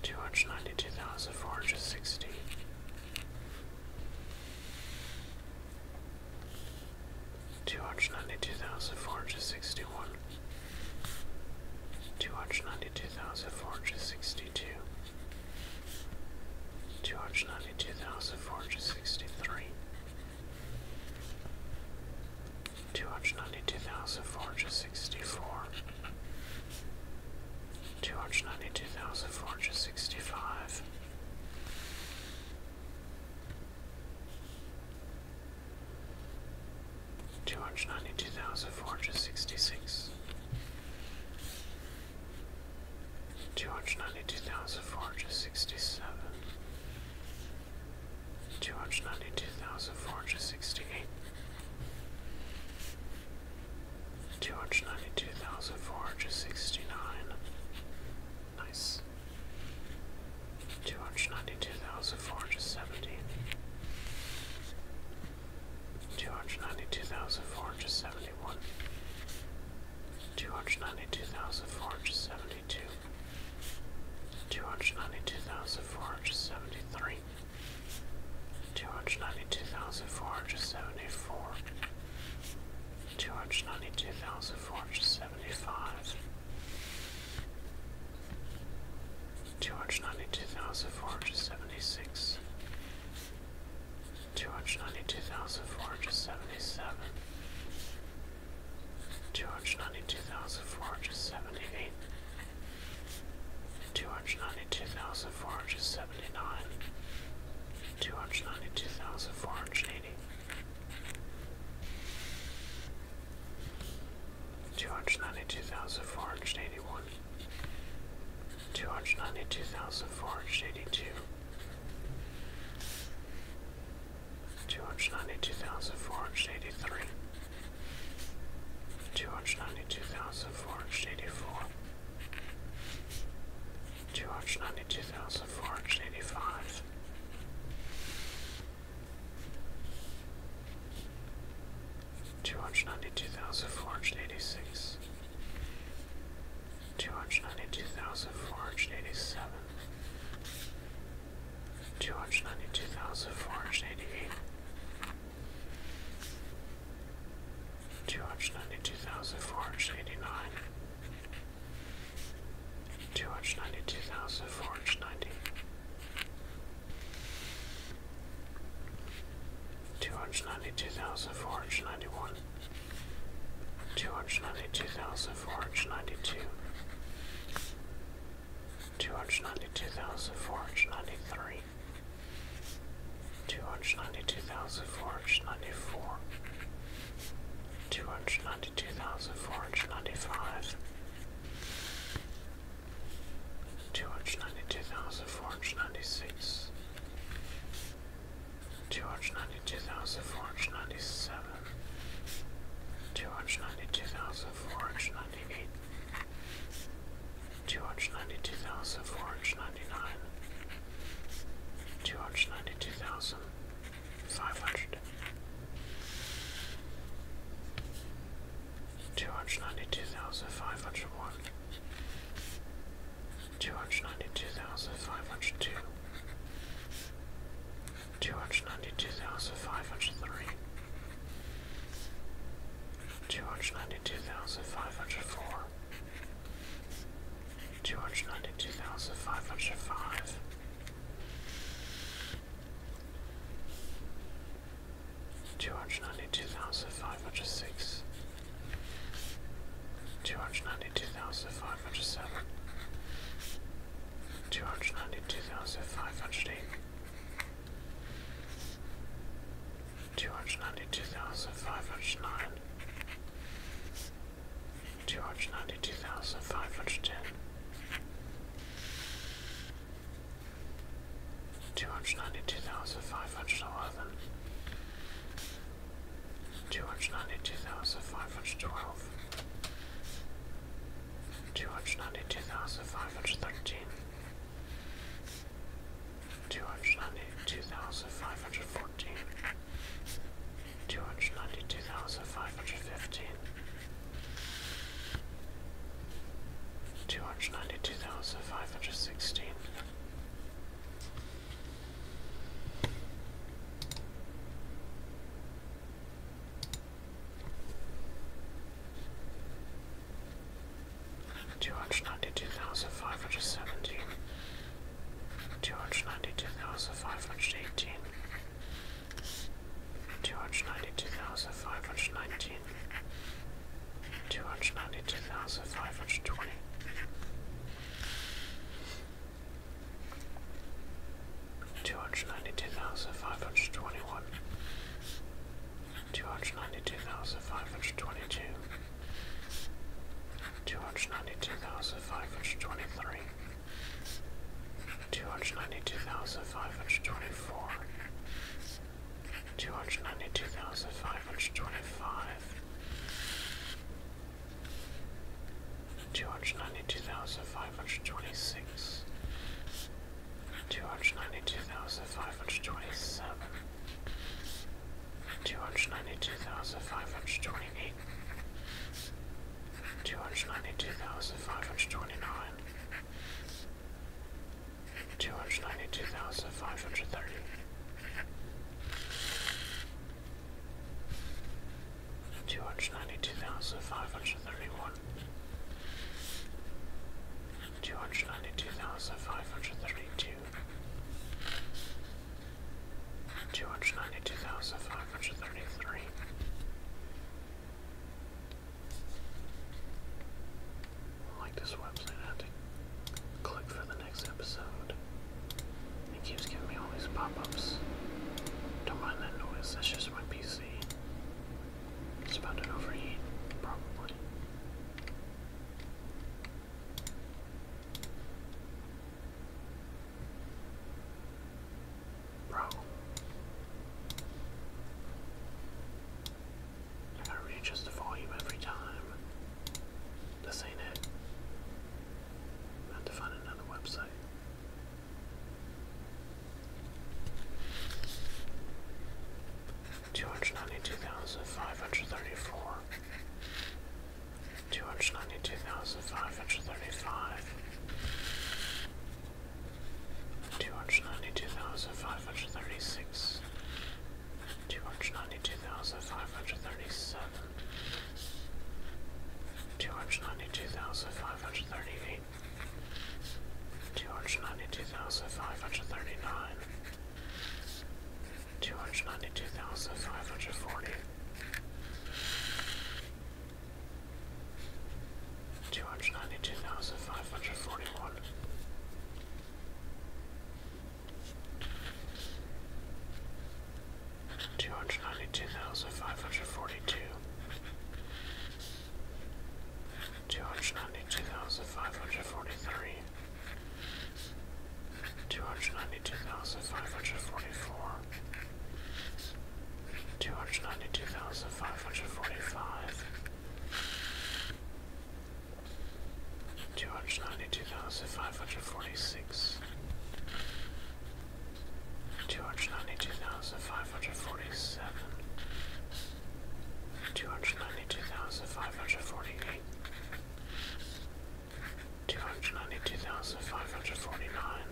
two hundred ninety two thousand four hundred sixty. Two hundred ninety two thousand four hundred sixty one, two hundred ninety two thousand four hundred sixty two, Two hundred ninety-two thousand four hundred sixty-three, two hundred ninety-two thousand four hundred sixty-four, two hundred ninety-two thousand four hundred sixty-five, two hundred ninety-two thousand four hundred sixty-six. 292466 two hundred ninety-two thousand four hundred sixty-seven, two hundred ninety-two thousand four hundred sixty-eight, two hundred ninety-two thousand four hundred sixty-nine. Nice. Two hundred ninety-two thousand four hundred seventy two hundred ninety two thousand four hundred seventy one, two hundred ninety two thousand four hundred seventy two, two hundred ninety two thousand four hundred seventy three, two hundred ninety two thousand four hundred seventy four, two hundred ninety two thousand four hundred seventy five. Two hundred ninety two thousand four hundred seventy six, two hundred ninety-two thousand four hundred seventy-seven, two hundred ninety-two thousand four hundred seventy-eight, two hundred ninety-two thousand four hundred seventy-nine, two hundred ninety-two thousand four hundred eighty. 292,481 two hundred ninety two thousand four hundred eighty two, two hundred ninety two thousand four hundred eighty three, two hundred ninety two thousand four hundred eighty four, two hundred ninety two thousand four hundred eighty five two hundred ninety two thousand four hundred eighty six, two hundred ninety two thousand four hundred eighty seven, two hundred ninety two thousand four hundred eighty eight, two hundred ninety two thousand four hundred eighty nine, two hundred ninety two thousand four hundred ninety two hundred ninety two thousand four hundred ninety one, two hundred ninety two thousand four hundred ninety two, two hundred ninety two thousand four hundred ninety three, two hundred ninety two thousand four hundred ninety four, two hundred ninety two thousand four hundred ninety five. Two hundred ninety two thousand four hundred ninety six, two hundred ninety two thousand four hundred ninety seven, two hundred ninety two thousand four hundred ninety eight, two hundred ninety two thousand four hundred ninety nine, two hundred ninety two thousand five hundred. 292,501 two hundred ninety two thousand five hundred two, two hundred ninety two thousand five hundred three, two hundred ninety two thousand five hundred four, two hundred ninety two thousand five hundred five. Two hundred ninety two thousand five hundred six, two hundred ninety two thousand five hundred seven, two hundred ninety two thousand five hundred eight, two hundred ninety two thousand five hundred nine, two hundred ninety two thousand five hundred ten. 292,511 Two hundred ninety-two thousand five hundred twelve. Two hundred ninety-two thousand five hundred thirteen. Two hundred ninety-two thousand five hundred fourteen. Two hundred ninety-two thousand five hundred fifteen. 292,516 Two hundred ninety two thousand five hundred seventeen, two hundred ninety two thousand five hundred eighteen, two hundred ninety two thousand five hundred nineteen, two hundred ninety two thousand five hundred twenty. Two hundred ninety two thousand five hundred twenty one, two hundred ninety two thousand five hundred twenty two, two hundred ninety two thousand five hundred twenty three, two hundred ninety two thousand five hundred twenty four, two hundred ninety two thousand five 525 292,526 292,527 292,528 292,529 292,530 two hundred ninety two thousand five hundred thirty one, two hundred ninety two thousand five hundred thirty two, two hundred ninety two thousand five hundred thirty three. I like this website, click for the next episode. It keeps giving me all these pop-ups. Don't mind that noise, that's just my PC. It's about to overheat, probably. Bro. I gotta readjust the volume every time. This ain't it. I have to find another website. Two hundred ninety-two thousand five hundred thirty-four. Two hundred ninety-two thousand five hundred thirty-five. Two hundred ninety-two thousand five hundred thirty-six two hundred ninety-two thousand five hundred thirty-seven, two hundred ninety-two thousand five hundred thirty-eight, two hundred ninety-two thousand five hundred thirty-nine, two hundred ninety-two thousand five hundred forty. 292,541 Two hundred ninety two thousand five hundred forty two, two hundred ninety two thousand five hundred forty three, two hundred ninety two thousand five hundred forty four, two hundred ninety two thousand five hundred forty five two hundred ninety-two thousand five hundred forty-six, two hundred ninety-two thousand five hundred forty-seven, two hundred ninety-two thousand five hundred forty-eight, two hundred ninety-two thousand five hundred forty-nine,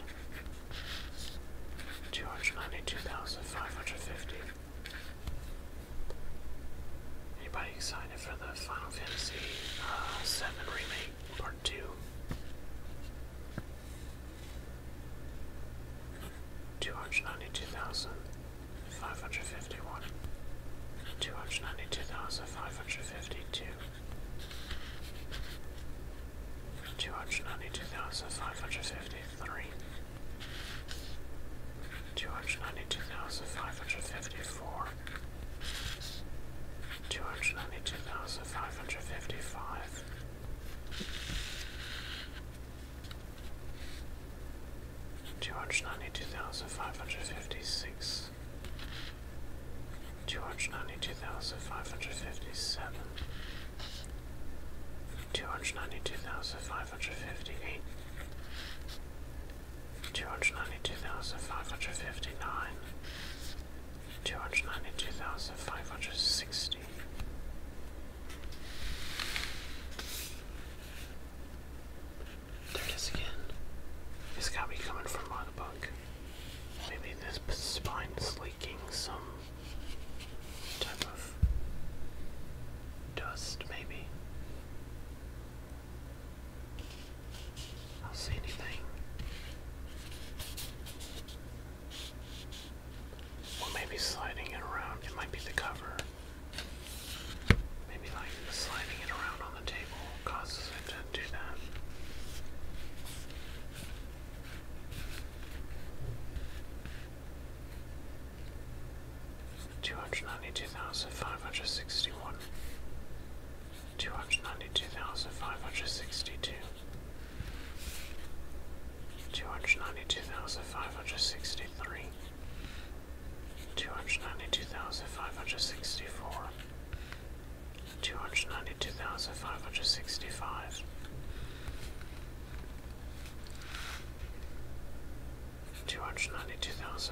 two hundred ninety-two thousand five hundred fifty. Anybody excited? for the Final Fantasy uh, VII Remake Part 2. Two hundred ninety-two thousand five hundred fifty-one, two hundred ninety-two thousand five hundred fifty-two, two hundred ninety-two thousand five hundred fifty-three, two hundred ninety-two thousand five hundred fifty-four, two hundred ninety two thousand five hundred fifty five. Two hundred ninety two thousand five hundred fifty six, two hundred ninety two thousand five hundred fifty seven, two hundred ninety two thousand five hundred fifty eight, two hundred ninety-two thousand five hundred fifty-nine, two hundred ninety-two thousand five hundred sixty. There it is again. It's gotta coming from by the book. Maybe this spine is leaking some type of dust, maybe. I will see anything. Well, maybe sliding it around. It might be the cover. Maybe like sliding it around on the table causes it to do that. Two hundred ninety-two thousand five hundred sixty-one two hundred ninety-two thousand five hundred sixty-two, two hundred ninety-two thousand five hundred sixty-three, two hundred ninety-two thousand five hundred sixty-four, two hundred ninety-two thousand five hundred sixty-five. 292,596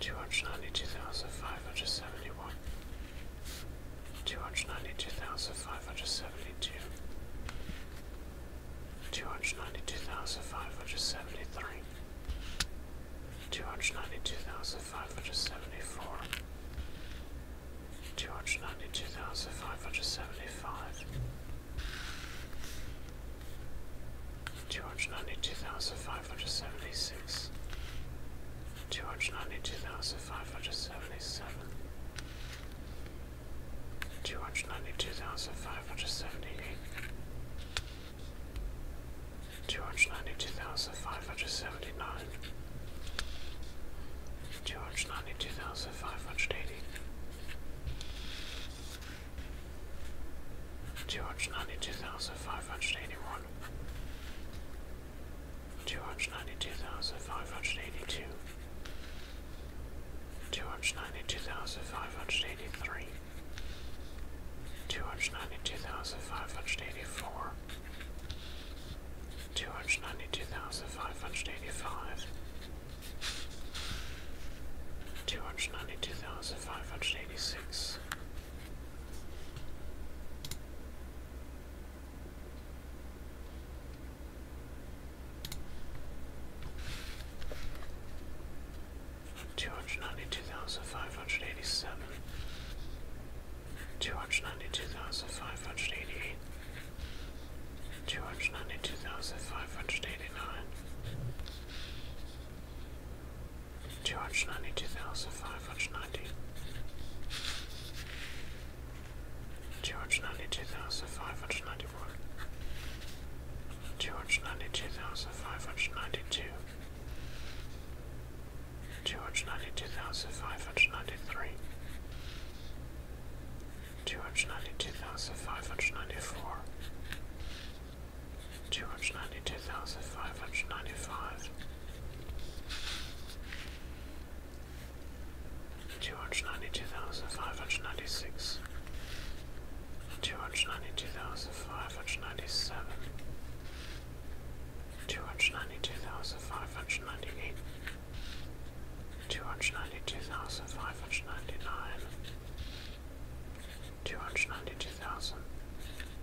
two hundred ninety two thousand five hundred seventy one, two hundred ninety two thousand five hundred seventy two, two hundred ninety two thousand five hundred seventy three, two hundred ninety two thousand five hundred seventy four, two hundred ninety two thousand five hundred seventy five two hundred ninety two thousand five hundred seventy six, two hundred ninety two thousand five hundred seventy seven, two hundred ninety two thousand five hundred seventy eight. Two hundred ninety two thousand five hundred seventy nine, two hundred ninety two thousand five hundred eighty, two hundred ninety two thousand five hundred eighty one, two hundred ninety two thousand five hundred eighty two, two hundred ninety two thousand five hundred eighty three, two hundred ninety two thousand five hundred eighty four, two hundred ninety two thousand five hundred eighty five. Two hundred ninety two thousand five hundred 1986. Two hundred ninety-two thousand five hundred eighty-seven, two hundred ninety-two thousand five hundred eighty-eight, two hundred ninety-two thousand five hundred eighty-nine, two hundred ninety two thousand five hundred ninety two hundred ninety two thousand five hundred ninety one two hundred ninety two thousand five hundred ninety two two hundred ninety two thousand five hundred ninety three Two hundred ninety two thousand five hundred ninety four, two hundred ninety two thousand five hundred ninety five, two hundred ninety two thousand five hundred ninety six, two hundred ninety two thousand five hundred ninety seven, two hundred ninety two thousand five hundred ninety eight. Two hundred ninety two thousand five hundred ninety nine, two hundred ninety two thousand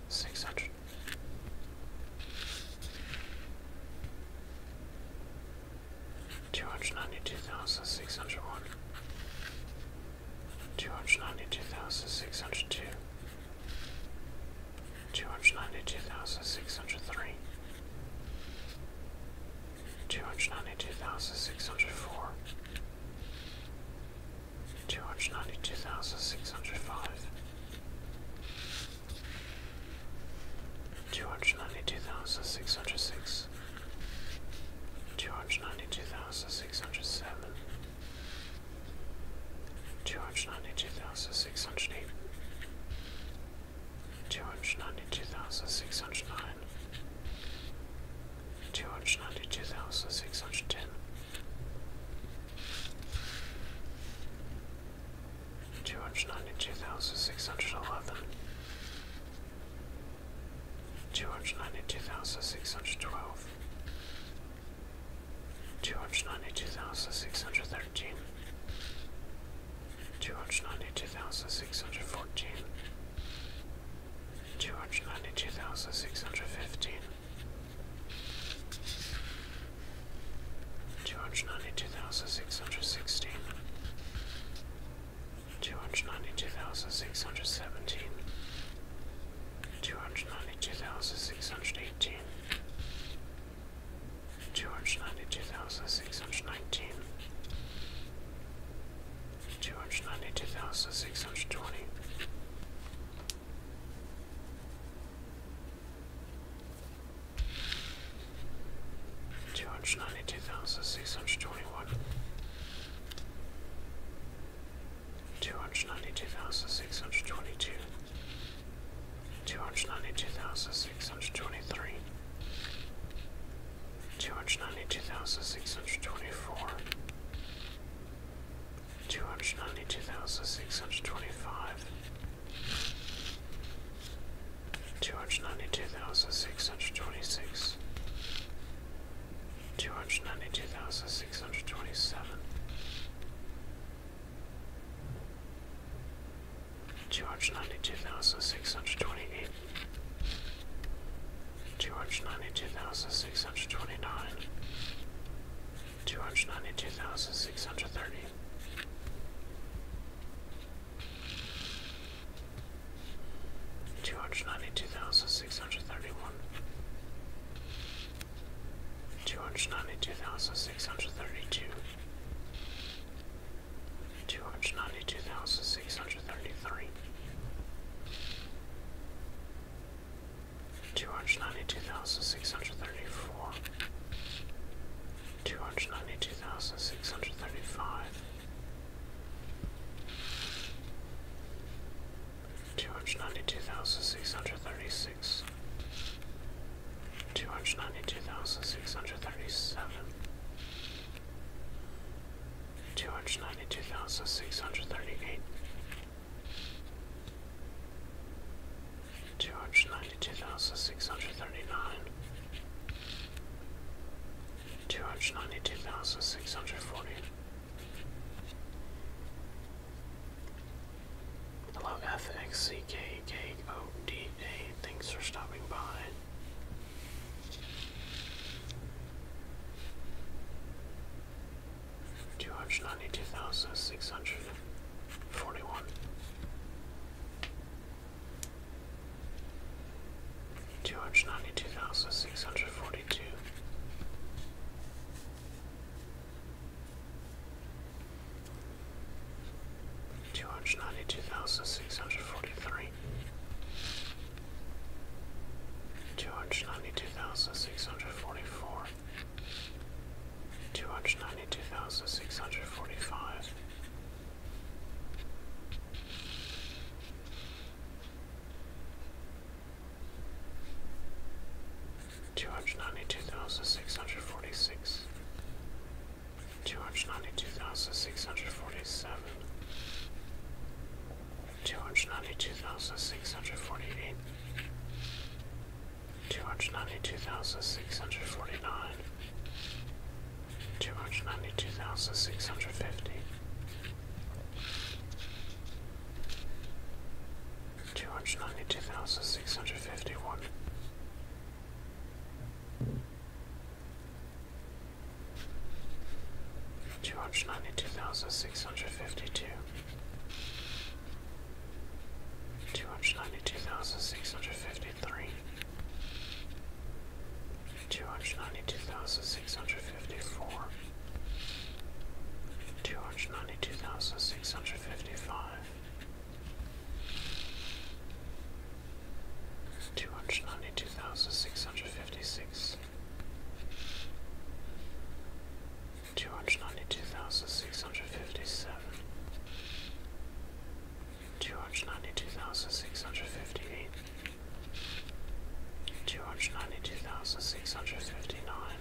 six hundred. Two hundred ninety two thousand six hundred one, two hundred ninety two thousand six hundred two, two hundred ninety two thousand six hundred three, two hundred ninety two thousand six hundred four, two hundred ninety two thousand six hundred five, two hundred ninety two thousand six hundred six, two hundred ninety two thousand six hundred seven, two hundred ninety two thousand six hundred eight. Two hundred ninety two thousand six hundred nine, Two hundred ninety-two thousand six hundred twelve. Two hundred ninety-two thousand six hundred thirteen. thousand six hundred twelve, two hundred ninety two thousand six hundred thirteen. Two hundred ninety two thousand six hundred fourteen, Two hundred ninety-two thousand six hundred fifteen. Two hundred ninety-two thousand six hundred sixteen. Two hundred ninety-two thousand six hundred seventeen. Two hundred ninety-two thousand six hundred eighteen. thousand six hundred seventeen, two hundred ninety two thousand six hundred eighteen. Two hundred ninety two thousand six hundred nineteen, two hundred ninety two thousand six hundred twenty. Two hundred ninety two thousand six hundred twenty one, two hundred ninety two thousand six hundred twenty two, two hundred ninety two thousand six hundred twenty three, two hundred ninety two thousand six hundred twenty four two hundred ninety two thousand six hundred twenty five, two hundred ninety two thousand six hundred twenty six, two hundred ninety two thousand six hundred twenty seven. 292,628 two hundred ninety-two thousand six hundred twenty-nine, two hundred ninety-two thousand six hundred thirty. Two hundred ninety two thousand six hundred thirty one, two hundred ninety two thousand six hundred thirty two, two hundred ninety two thousand six hundred thirty three, two hundred ninety two thousand six hundred thirty four, two hundred ninety two thousand six hundred thirty five, two hundred ninety two thousand six hundred thirty six, two hundred ninety two thousand six hundred thirty seven. Two hundred ninety two thousand six hundred thirty eight, Two hundred ninety-two thousand six hundred thirty-nine, two hundred ninety-two thousand six hundred forty. Hello, FXCKKODA. Thanks for stopping by two hundred ninety two thousand six hundred forty one, two hundred ninety two thousand six hundred forty two. Two hundred ninety two thousand six hundred forty three, two hundred ninety two thousand six hundred forty four, two hundred ninety two thousand six hundred forty five. Two hundred ninety two thousand six hundred forty six, two hundred ninety two thousand six hundred forty seven, two hundred ninety two thousand six hundred forty eight, two hundred ninety two thousand six hundred forty nine, two hundred ninety two thousand six hundred fifty. 292,651 292,652 Two hundred ninety-two thousand six hundred fifty-three, two hundred ninety-two thousand six hundred fifty-four, two hundred ninety-two thousand six hundred fifty-five, two hundred ninety-two thousand six hundred fifty-six two hundred ninety-two thousand six hundred fifty-seven, two hundred ninety-two thousand six hundred fifty-eight, two hundred ninety-two thousand six hundred fifty-nine,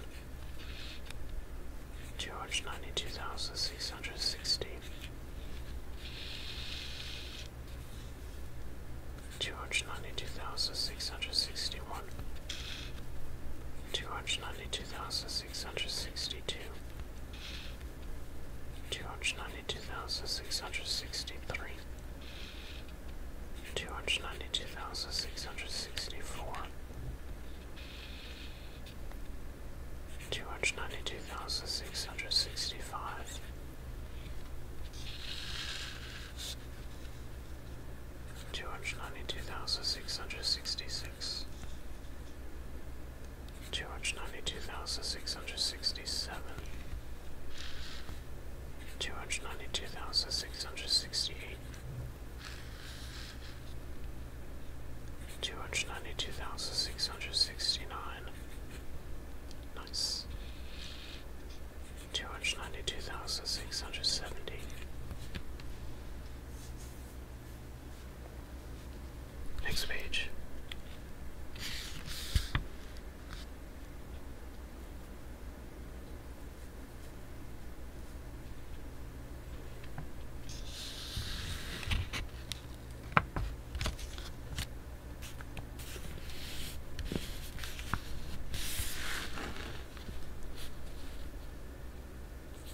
two hundred ninety-two thousand six hundred sixty two hundred ninety-two thousand six hundred sixty-one, two hundred ninety-two thousand six hundred sixty-two, two hundred ninety-two thousand six hundred sixty-three, two hundred ninety-two thousand six hundred sixty-four. 292,665 two hundred ninety-two thousand six hundred sixty-six, two hundred ninety-two thousand six hundred sixty-seven, two hundred ninety-two thousand six hundred sixty-eight. 292,669 nice two hundred ninety-two thousand six hundred seventy. Next page.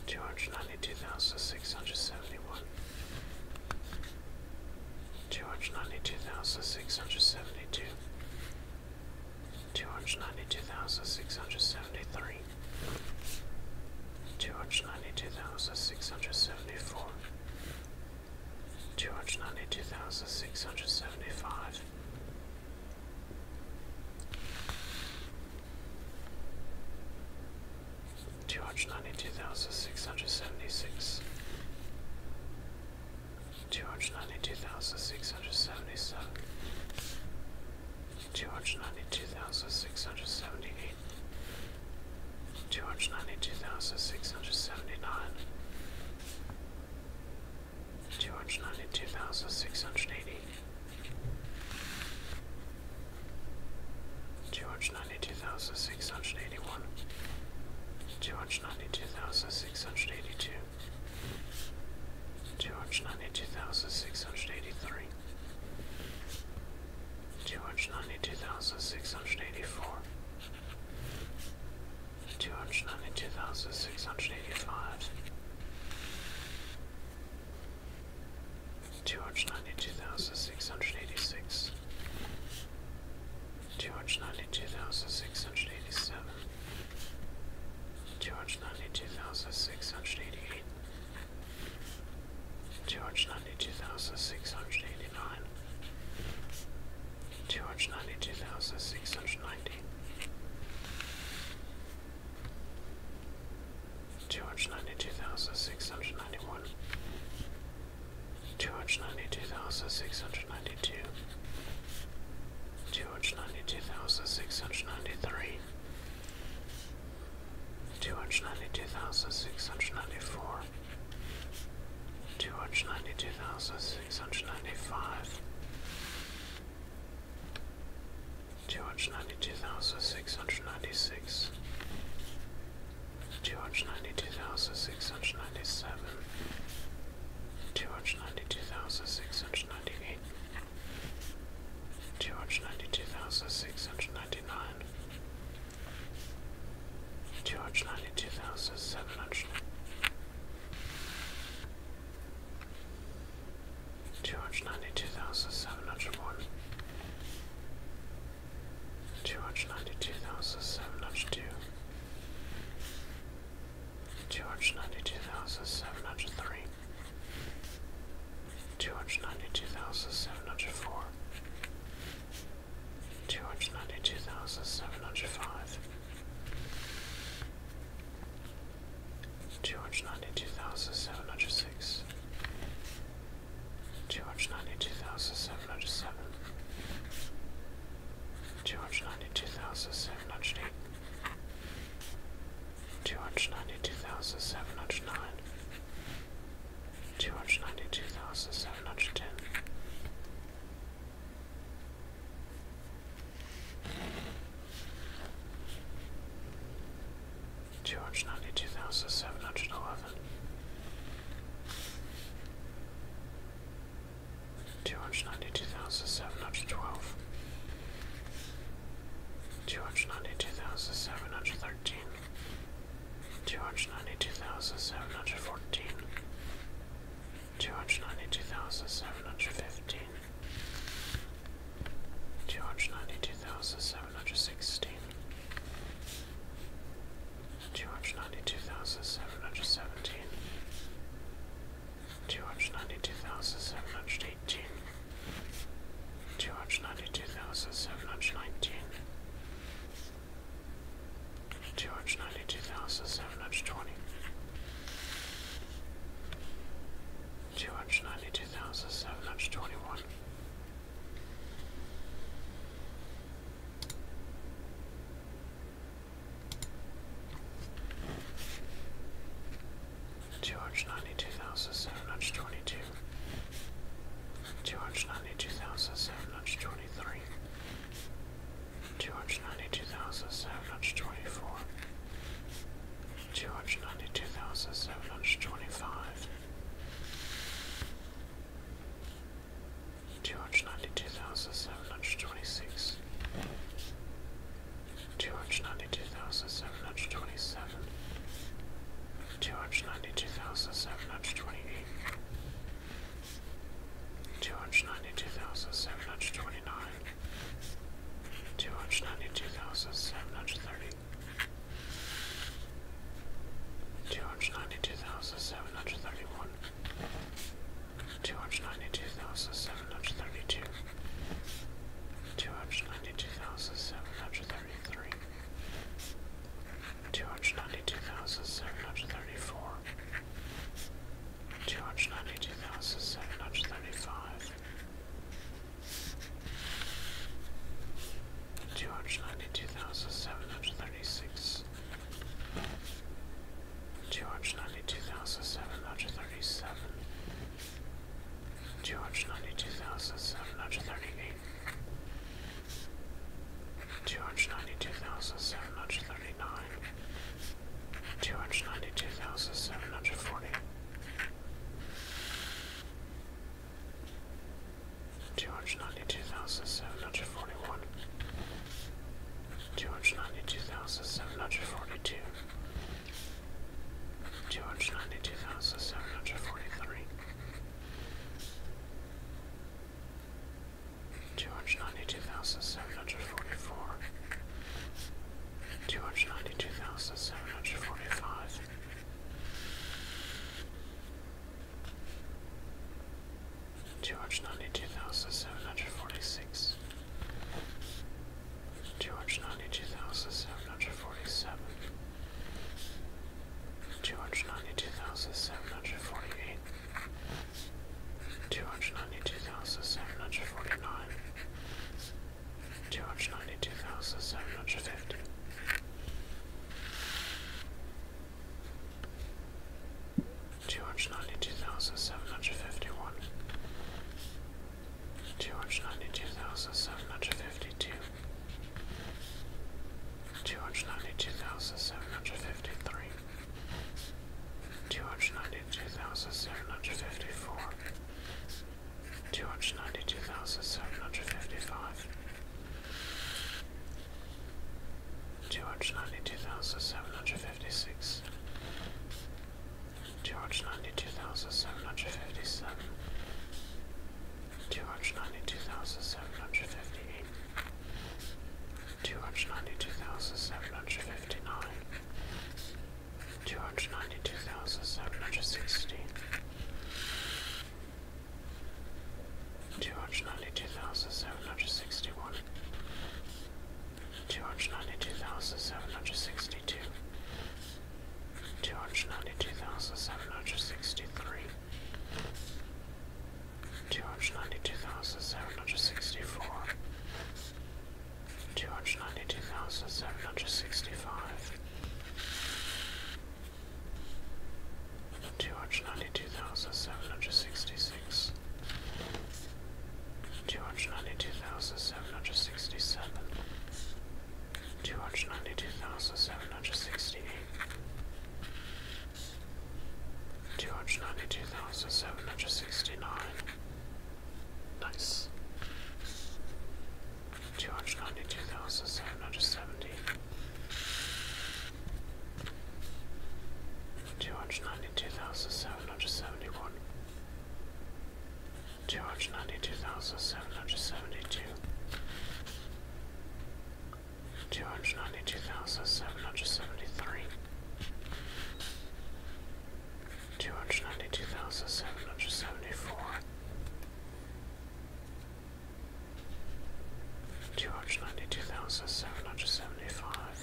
Two hundred ninety-two thousand six hundred seventy-one, two hundred ninety-two thousand six hundred seventy-two, two hundred ninety-two thousand six hundred seventy-three, two hundred ninety-two thousand six hundred seventy-four, two hundred ninety-two thousand six hundred seventy-five. Two hundred ninety two thousand six hundred seventy six, two hundred ninety two thousand six hundred seventy seven, two hundred ninety two thousand six hundred seventy eight, two hundred ninety two thousand six hundred seventy nine, two hundred ninety two thousand six hundred eighty two hundred ninety two thousand six hundred eighty one two hundred ninety two thousand six hundred eighty two two hundred ninety two thousand six hundred eighty three Two hundred ninety-two thousand six hundred eighty-four, two hundred ninety two thousand six hundred eighty five two hundred ninety two thousand six hundred eighty six two hundred ninety two thousand six hundred eighty seven two hundred ninety two thousand six hundred eighty eight Two hundred ninety two thousand six hundred eighty nine, two hundred ninety two thousand six hundred ninety hundred ninety one, two hundred ninety two thousand six hundred ninety two, two hundred ninety two thousand six hundred ninety three, two hundred ninety two thousand six hundred ninety four, two hundred ninety two thousand six hundred ninety five. Two hundred ninety-two thousand six hundred ninety-six, two hundred ninety-two thousand six hundred ninety-seven, two hundred ninety-two thousand six hundred ninety-eight, two hundred ninety-two thousand six hundred ninety-nine, two hundred ninety-two thousand seven hundred two hundred ninety-two thousand seven hundred one, two hundred ninety-two thousand seven hundred two, two hundred ninety-two thousand seven hundred three, two hundred ninety-two thousand seven hundred four, two hundred ninety-two thousand seven hundred five. Two hundred ninety-two thousand seven hundred six, two hundred ninety-two thousand seven hundred seven, two hundred ninety-two thousand seven hundred eight, two hundred ninety-two thousand seven hundred nine, two hundred ninety-two thousand seven hundred ten. Two hundred ninety two thousand seven hundred eleven, two hundred ninety two thousand seven hundred twelve, two hundred ninety two thousand seven hundred thirteen, two hundred ninety two thousand seven hundred fourteen, two hundred ninety two thousand seven hundred fifteen. Two hundred ninety-two thousand seven hundred sixteen. Two hundred ninety-two thousand seven hundred seventeen. Two hundred ninety-two thousand seven hundred eighteen. Two hundred ninety-two thousand seven hundred nineteen. Two hundred ninety-two thousand seven hundred twenty. 292,721 293,724 293,725 293,726 293,727 293,728 293,729 293,730 293,731 293,732 293,733 293,734 293,735 293,736 293,737 293,738 293,739 293,740 293,741 293,742 293,743 293,744 293,745 293,746 293,747 293,748 293,749 293,750 293,751 293,752 293,753 293,754 293,755 293,756 293,757 293,758 293,759 293,760 293,761 293,762 293,763 293,764 293,765 293,766 293,767 293,768 293,769 293,770 293,771 293,772 293,773 293,774 293,775 293,776 293,777 293,778 293,779 293,780 293,781 293,782 293,7 Two hundred ninety two thousand seven hundred twenty one. Two hundred ninety two thousand seven hundred twenty two. Two hundred ninety two thousand seven hundred twenty three. Two hundred ninety two thousand seven hundred twenty four two hundred ninety two thousand seven hundred twenty five, two hundred ninety two thousand seven hundred twenty six, two hundred ninety two thousand seven hundred twenty seven, two hundred ninety two thousand seven hundred twenty eight. Two hundred ninety two thousand seven hundred twenty nine, Two hundred ninety-two thousand seven hundred thirty. Two hundred ninety-two thousand seven hundred thirty-one. hundred ninety-two thousand seven hundred thirty-one, two hundred ninety-two thousand seven hundred thirty-two, two hundred ninety-two thousand seven hundred thirty-three, two hundred ninety-two thousand seven hundred thirty-four. Two hundred ninety-two thousand seven hundred thirty-five, Two hundred ninety-two thousand seven hundred thirty-six, two hundred ninety-two thousand seven hundred thirty-seven, two hundred ninety-two thousand seven hundred thirty-eight, two hundred ninety-two thousand seven hundred thirty-nine, two hundred ninety-two thousand seven hundred forty. Two hundred ninety-two thousand seven hundred forty-one, two hundred ninety-two thousand seven hundred forty-two, two hundred ninety-two thousand seven hundred forty-three, two hundred ninety-two thousand seven hundred forty-four two hundred ninety two thousand seven hundred forty five. Two hundred ninety two thousand seven hundred forty six, two hundred ninety two thousand seven hundred forty seven, two hundred ninety two thousand seven hundred forty eight, two hundred ninety two thousand seven hundred forty nine, two hundred ninety-two thousand seven hundred fifty. Two hundred ninety-two thousand seven hundred fifty-one, two hundred ninety-two thousand seven hundred fifty-two, two hundred ninety-two thousand seven hundred fifty-three, two hundred ninety-two thousand seven hundred fifty-four, two hundred ninety two thousand seven hundred fifty five two hundred ninety two thousand seven hundred fifty six two hundred ninety two thousand seven hundred fifty seven two hundred ninety two thousand seven hundred fifty eight two hundred ninety two thousand seven hundred fifty nine two hundred ninety two thousand seven hundred sixty two hundred ninety two thousand seven hundred sixty one two hundred ninety two thousand seven hundred sixty two two hundred ninety two thousand seven hundred sixty three Two hundred ninety two thousand seven hundred sixty four, two hundred ninety-two thousand seven hundred sixty-five, two hundred ninety-two thousand seven hundred sixty-six, two hundred ninety-two thousand seven hundred sixty-seven, two hundred ninety-two thousand seven hundred sixty-eight. Two hundred ninety-two thousand seven hundred sixty-nine, Nice. Two hundred ninety-two thousand seven hundred seventy. Two hundred ninety-two thousand seven hundred seventy-one. Two hundred ninety-two thousand seven hundred seventy-two. Two hundred ninety-two thousand seven hundred seventy-three. 292,774 292,775 292,776 two hundred ninety two thousand seven hundred seventy four, two hundred ninety two thousand seven hundred seventy five,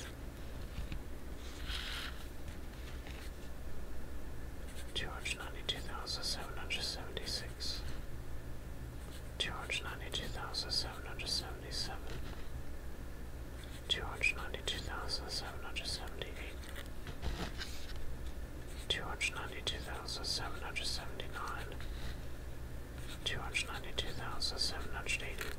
two hundred ninety two thousand seven hundred seventy six, two hundred ninety two thousand seven hundred seventy seven. Two hundred ninety two thousand seven hundred seventy eight, two hundred ninety two thousand seven hundred seventy nine, two hundred ninety two thousand seven hundred eighty.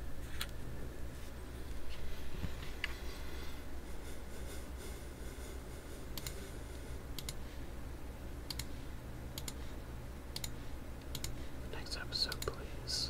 Next episode, please.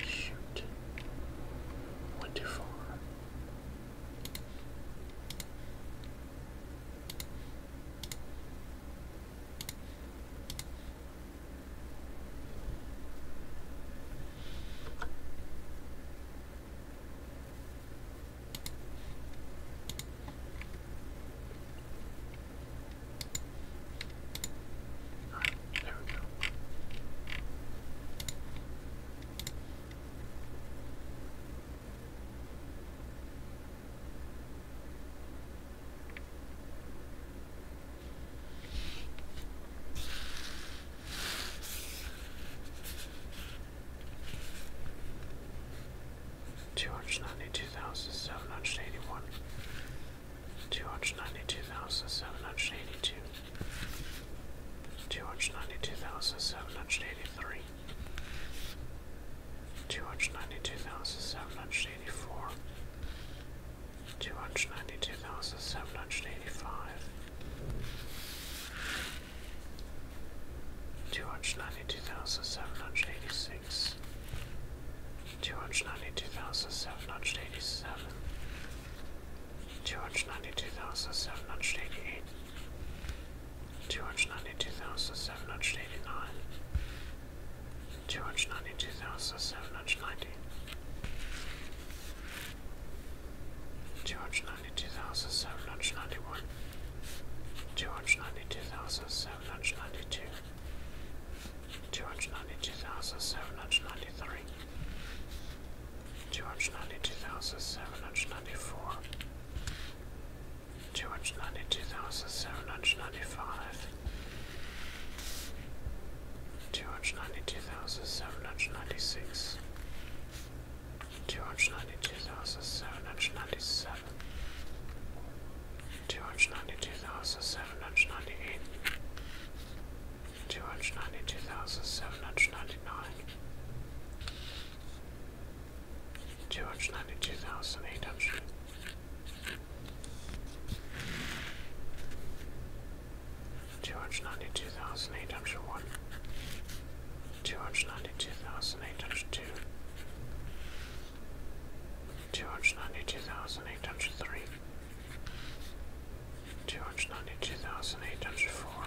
Shoot. Went too far there we go. Two hundred ninety two thousand seven hundred eighty one, two hundred ninety-two thousand seven hundred eighty-two, two hundred ninety-two thousand seven hundred eighty-three, two hundred ninety-two thousand seven hundred eighty-four, two hundred ninety-two thousand seven hundred eighty-five. 292,786 292,787 two hundred ninety-two thousand seven hundred eighty-eight, two hundred ninety-two thousand seven hundred eighty-nine, two hundred ninety-two Two hundred ninety-two thousand seven hundred ninety. Two hundred ninety-two thousand seven hundred ninety-one. hundred ninety-one, two hundred ninety-two thousand seven hundred ninety-two two hundred ninety two thousand seven hundred ninety three, two hundred ninety two thousand seven hundred ninety four, two hundred ninety two thousand seven hundred ninety five, two hundred ninety two thousand seven hundred ninety six, two hundred ninety two thousand seven hundred ninety seven. Two hundred ninety two thousand seven hundred ninety eight, two hundred ninety two thousand seven hundred ninety nine, two hundred ninety two thousand eight hundred. Two hundred ninety two thousand eight hundred one, two hundred ninety two thousand eight hundred two, two hundred ninety two thousand eight hundred three, two hundred ninety two thousand eight hundred four,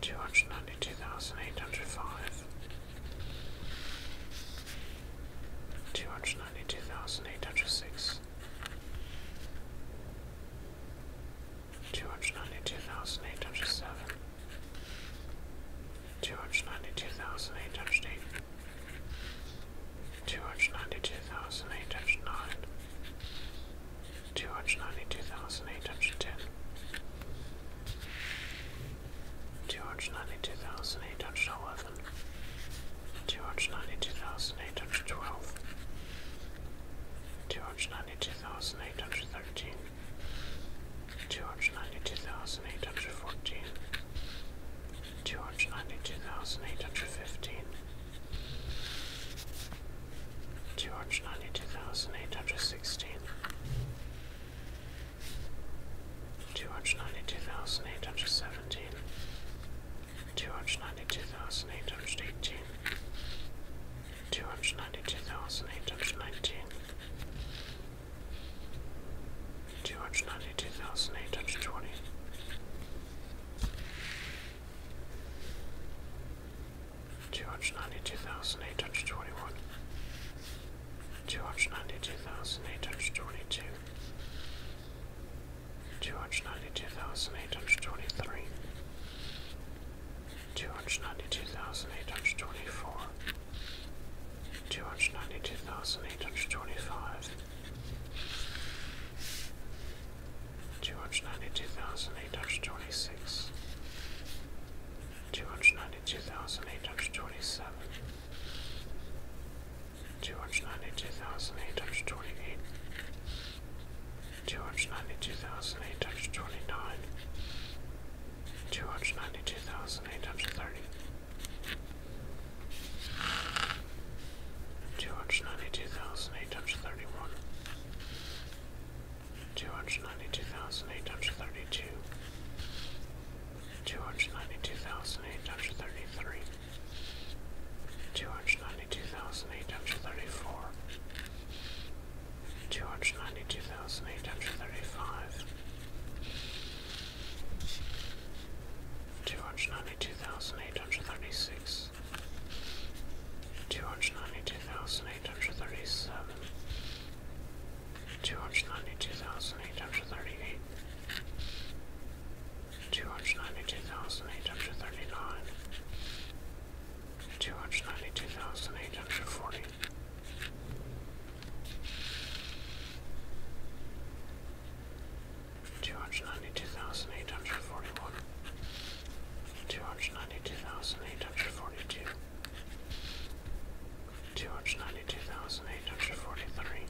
two hundred ninety two thousand eight hundred five, two hundred ninety two thousand eight hundred six. Two hundred ninety two thousand eight hundred seven, two hundred ninety two thousand eight hundred eight, two hundred ninety two thousand eight hundred nine, two hundred ninety two thousand eight hundred ten, two hundred ninety two thousand eight hundred eleven, two hundred ninety two thousand eight hundred twelve, two hundred ninety two thousand eight hundred thirteen. Two hundred ninety two thousand eight hundred fourteen, two hundred ninety two thousand eight hundred fifteen, two hundred ninety two thousand eight hundred sixteen, two hundred ninety two thousand eight hundred seventeen, two hundred ninety two thousand eight hundred eighteen, two hundred ninety two thousand eight hundred nineteen. Two hundred ninety two thousand eight hundred twenty, Two hundred ninety-two thousand eight hundred twenty-one, two hundred ninety-two thousand eight hundred twenty-two, two hundred ninety-two thousand eight hundred twenty-three, two hundred ninety-two thousand eight hundred twenty-four, two hundred ninety-two thousand eight hundred twenty-five. Two hundred ninety-two thousand eight hundred twenty-six, two hundred ninety-two thousand eight hundred twenty-seven, two hundred ninety-two thousand eight hundred twenty-eight, two hundred ninety-two thousand eight hundred twenty-nine, two hundred ninety-two thousand eight hundred thirty, two hundred ninety two thousand eight hundred thirty one, two hundred ninety two thousand eight hundred thirty two, two hundred ninety two thousand eight hundred thirty three, two hundred ninety two thousand eight hundred thirty four. Two hundred ninety two thousand eight hundred thirty five, two hundred ninety-two thousand eight hundred thirty-six, two hundred ninety-two thousand eight hundred thirty-seven, two hundred ninety-two thousand eight hundred thirty-eight, two hundred ninety-two thousand eight hundred thirty-nine, two hundred ninety-two thousand eight hundred forty two hundred ninety two thousand eight hundred forty one, two hundred ninety two thousand eight hundred forty two, two hundred ninety two thousand eight hundred forty three,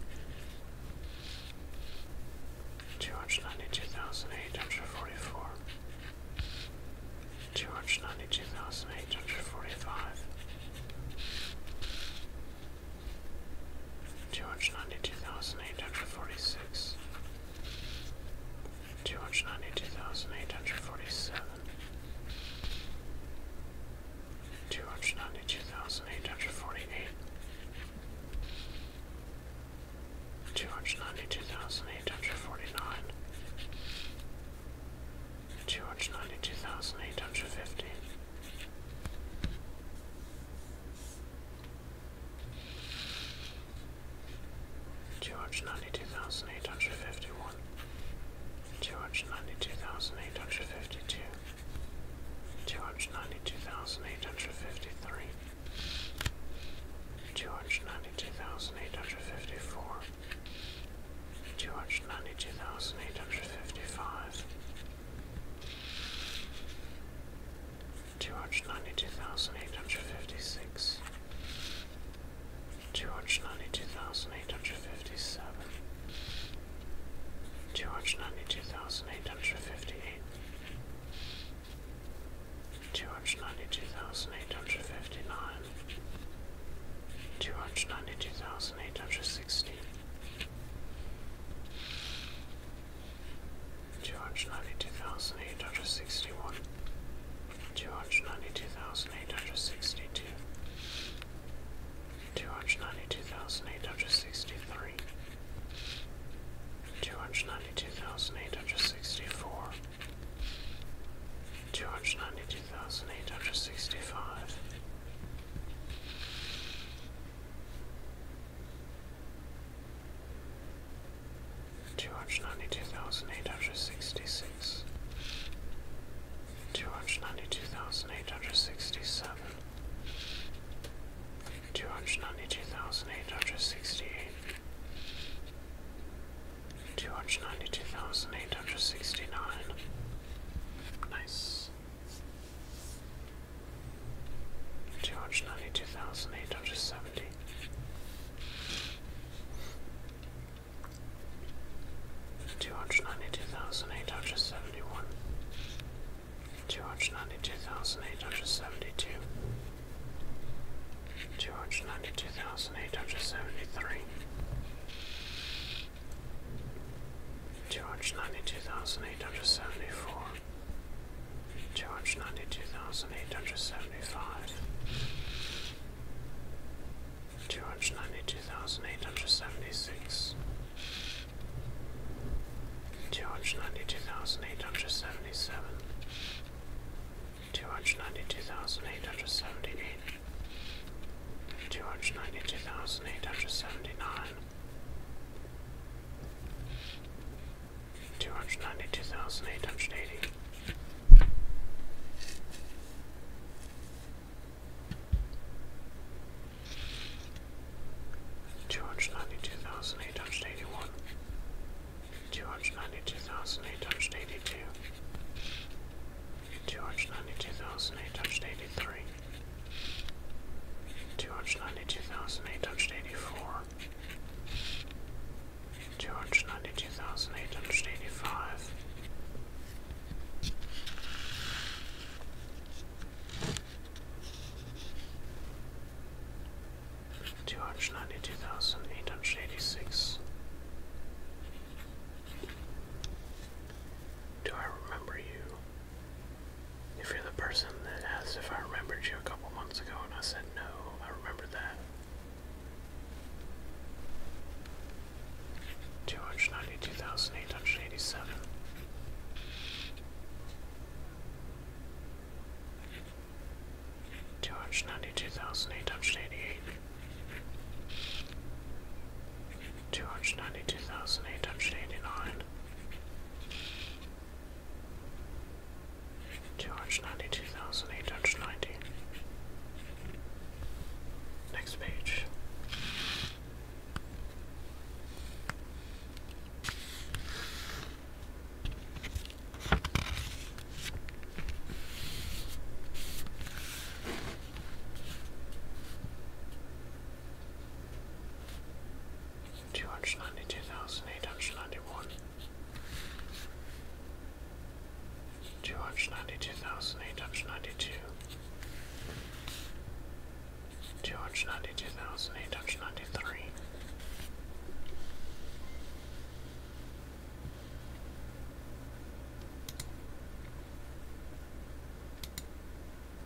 two hundred ninety two thousand eight hundred forty four, two hundred ninety two thousand eight hundred forty five two hundred ninety two thousand eight hundred forty six, two hundred ninety two thousand eight hundred forty seven, two hundred ninety two thousand eight hundred forty eight. Two hundred ninety two thousand eight hundred forty nine, two hundred ninety two thousand eight hundred fifty, Two hundred ninety-two thousand eight hundred fifty-one, two hundred ninety-two thousand eight hundred fifty-two, two hundred ninety-two thousand eight hundred fifty-three, two hundred ninety-two thousand eight hundred fifty-four, two hundred ninety-two thousand eight hundred fifty-five two hundred ninety two thousand eight hundred fifty six, two hundred ninety two thousand eight hundred fifty seven, two hundred ninety two thousand eight hundred fifty eight, two hundred ninety two thousand eight hundred fifty nine, two hundred ninety two thousand eight hundred sixteen two hundred ninety two thousand eight hundred sixty one, two hundred ninety two thousand eight hundred sixty two, two hundred ninety two thousand eight hundred sixty three, two hundred ninety two thousand eight hundred sixty four, two hundred ninety two thousand eight hundred sixty five. Two hundred ninety two thousand eight hundred sixty six, two hundred ninety two thousand eight hundred sixty seven, two hundred ninety two thousand eight hundred sixty eight, two hundred ninety two thousand eight hundred sixty nine. Nice. Two hundred ninety-two thousand eight hundred seventy. Two hundred ninety-two thousand eight hundred seventy-one. Two hundred ninety-two thousand eight hundred seventy-two. Two hundred ninety-two thousand eight hundred seventy-three. Two hundred ninety-two thousand eight hundred seventy-four. Two hundred ninety-two thousand eight hundred seventy-five. Two hundred ninety-two thousand eight hundred seventy-six. Two hundred ninety-two thousand eight hundred seventy-seven. Two hundred ninety-two thousand eight hundred seventy-eight. Two hundred ninety-two thousand eight hundred seventy-nine. Two hundred ninety two thousand eight hundred eighty. Two hundred ninety two thousand eight hundred eighty one, two hundred ninety two thousand eight hundred eighty two, two hundred ninety two thousand eight hundred eighty three, two hundred ninety-two thousand eight hundred eighty-four, two hundred ninety-two thousand eight hundred eighty-five. Two hundred ninety two thousand eight hundred eighty six. Do I remember you? If you're the person that asked if I remembered you a couple months ago and I said no, I remember that. 292,887. Two hundred ninety two thousand eight hundred eighty eight, two hundred ninety two thousand eight hundred eighty nine, Two hundred ninety two thousand eight hundred ninety. Next page two hundred ninety two thousand eight hundred ninety one, two hundred ninety two thousand eight hundred ninety two, two hundred ninety two thousand eight hundred ninety three.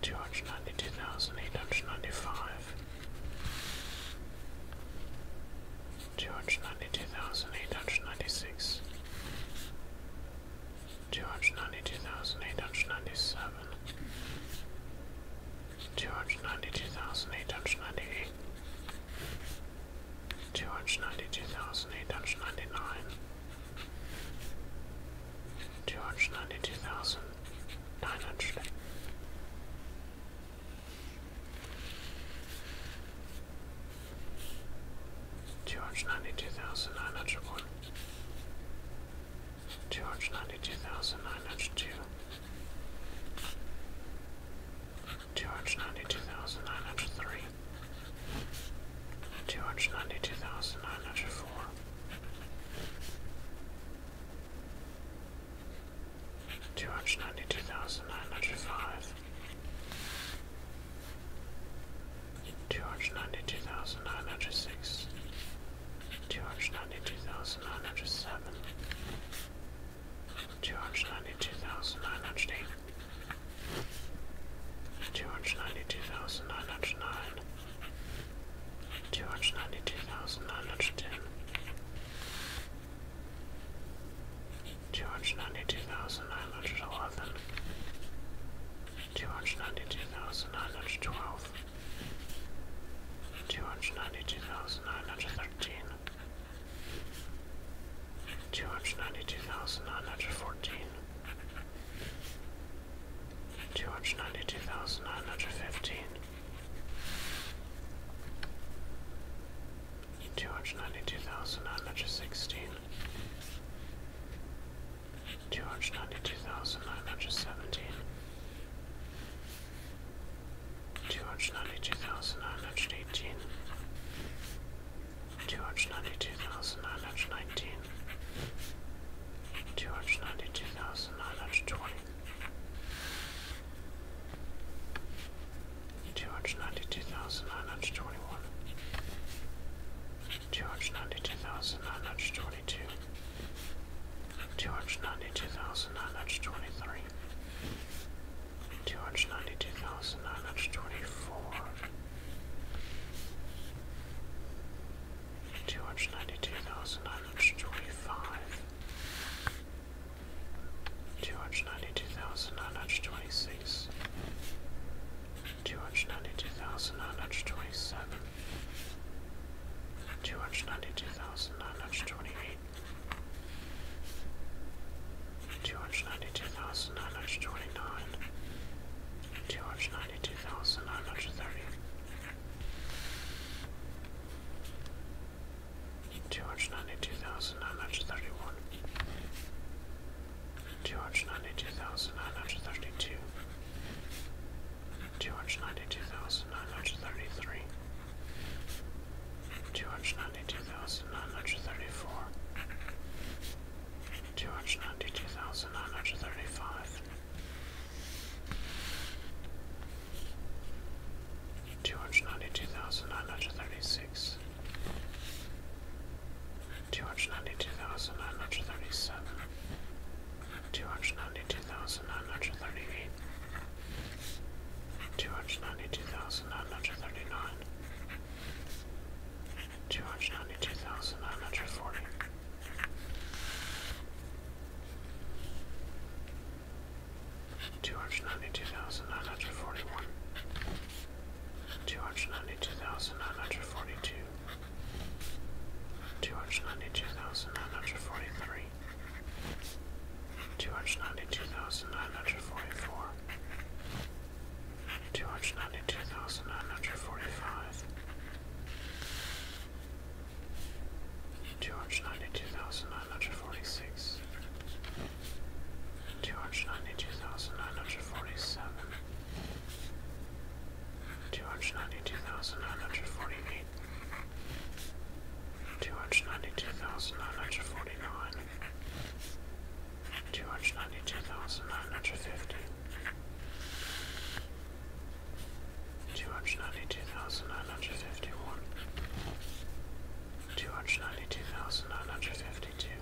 Two hundred ninety two thousand eight hundred ninety five, two hundred ninety two thousand eight hundred ninety six, two hundred ninety two thousand eight hundred ninety seven, two hundred ninety two thousand eight hundred ninety eight, two hundred ninety two thousand eight hundred ninety nine, two hundred ninety two thousand nine hundred. Two hundred ninety two thousand nine hundred one, two hundred ninety two thousand nine hundred two, two hundred ninety two thousand nine hundred three, two hundred ninety two thousand nine hundred four. Two hundred ninety two thousand nine hundred five, two hundred ninety two thousand nine hundred six, two hundred ninety two thousand nine hundred seven, two hundred ninety two thousand nine hundred eight, two hundred ninety two thousand nine hundred nine, two hundred ninety two thousand nine hundred ten, two hundred ninety two thousand nine hundred eleven, two hundred ninety two thousand nine hundred twelve, two hundred ninety two thousand nine hundred thirteen two hundred ninety two thousand nine hundred fourteen, two hundred ninety two thousand nine hundred fifteen, two hundred ninety two thousand nine hundred sixteen, two hundred ninety two thousand nine hundred seventeen. Two hundred ninety two thousand nine hundred eighteen, two hundred ninety two thousand nine hundred nineteen, two hundred ninety two thousand nine hundred twenty, two hundred ninety two thousand nine hundred twenty one, two hundred ninety two thousand nine hundred twenty two, two hundred ninety two thousand nine hundred twenty three. Two hundred ninety two thousand nine hundred twenty four, Two hundred ninety-two thousand nine hundred twenty-five, two hundred ninety-two thousand nine hundred twenty-six, two hundred ninety-two thousand nine hundred twenty-seven, two hundred ninety-two thousand nine hundred twenty-eight two hundred ninety-two thousand nine hundred twenty-nine, two hundred ninety-two thousand nine hundred thirty, two hundred ninety-two thousand nine hundred thirty-one, two hundred ninety-two thousand nine hundred thirty-two, two hundred ninety-two thousand nine hundred thirty-three. Two hundred ninety-two thousand nine hundred thirty-four, two hundred ninety two thousand nine hundred thirty five, two hundred ninety two thousand nine hundred thirty six, two hundred ninety two thousand nine hundred thirty seven, two hundred ninety two thousand nine hundred thirty eight. Two hundred ninety two thousand nine hundred thirty nine, two hundred ninety two thousand nine hundred forty. Two hundred ninety two thousand nine hundred forty one, two hundred ninety two thousand nine hundred forty two, two hundred ninety two thousand nine hundred forty three, two hundred ninety two thousand nine hundred forty four, two hundred ninety two thousand nine hundred forty five, two hundred ninety two thousand nine hundred forty six, two hundred ninety two thousand nine hundred forty seven, two hundred ninety two thousand nine hundred forty eight. Two hundred ninety two thousand nine hundred forty nine, two hundred ninety two thousand nine hundred fifty two hundred ninety two thousand nine hundred fifty one two hundred ninety two thousand nine hundred fifty two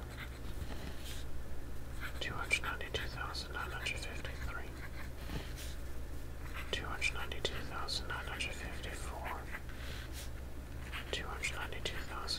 two hundred ninety two thousand nine hundred fifty three two hundred ninety two thousand nine hundred fifty four Two hundred ninety-two thousand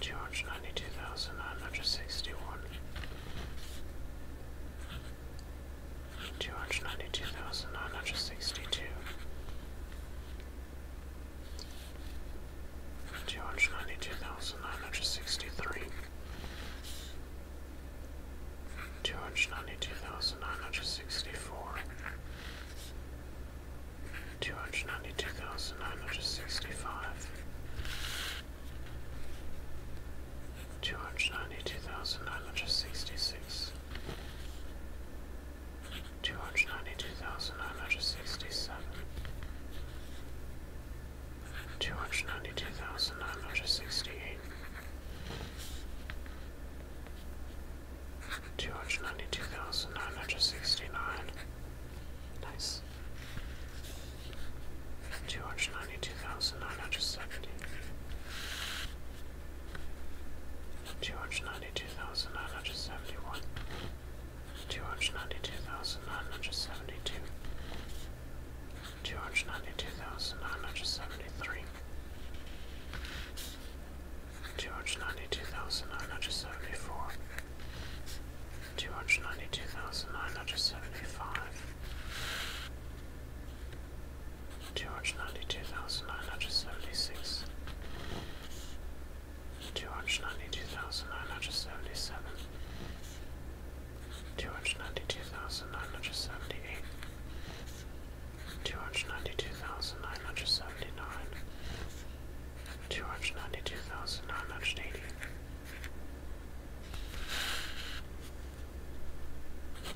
Two hundred ninety-two thousand nine hundred sixty-one, two hundred ninety-two thousand nine hundred sixty-two, two hundred ninety-two thousand nine hundred sixty-three, two hundred ninety-two thousand nine hundred sixty-four. 292963 292964 two hundred ninety two thousand nine hundred sixty five, two hundred ninety two thousand nine hundred sixty six, two hundred ninety two thousand nine hundred sixty seven, two hundred ninety two thousand nine hundred sixty eight two hundred ninety two thousand nine hundred sixty nine. Nice. Two hundred ninety two thousand nine hundred seventy. Two hundred ninety two thousand nine hundred seventy one. Two hundred ninety two thousand nine hundred seventy two. Two hundred ninety two thousand nine hundred seventy three two hundred ninety-two thousand nine hundred seventy-four, two hundred ninety-two thousand nine hundred seventy-five, two hundred ninety-two thousand nine hundred seventy-six, two hundred ninety-two thousand nine hundred seventy-seven, two hundred ninety-two thousand nine hundred seventy-eight. 292,979 two hundred ninety-two thousand nine hundred seventy-nine, two hundred ninety-two thousand nine hundred eighty,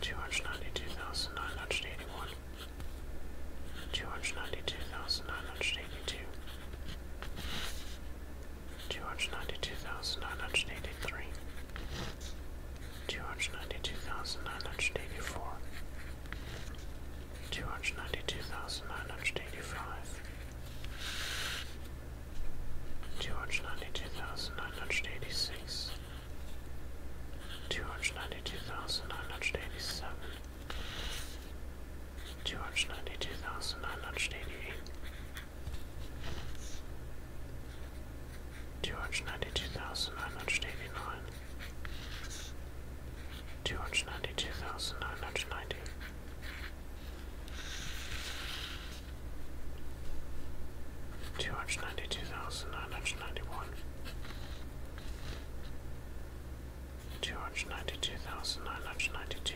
two hundred ninety-two thousand nine hundred eighty-one, two hundred ninety-two thousand nine hundred eighty-two. Two hundred ninety-two thousand nine hundred eighty-three, two hundred ninety-two thousand nine hundred eighty-four, two hundred ninety two thousand nine hundred eighty five, two hundred ninety two thousand nine hundred eighty six, two hundred ninety two thousand nine hundred eighty seven, two hundred ninety two thousand nine hundred eighty eight. Two hundred ninety two thousand nine hundred eighty nine, two hundred ninety two thousand nine hundred ninety. Two hundred ninety two thousand nine hundred ninety one, two hundred ninety two thousand nine hundred ninety two,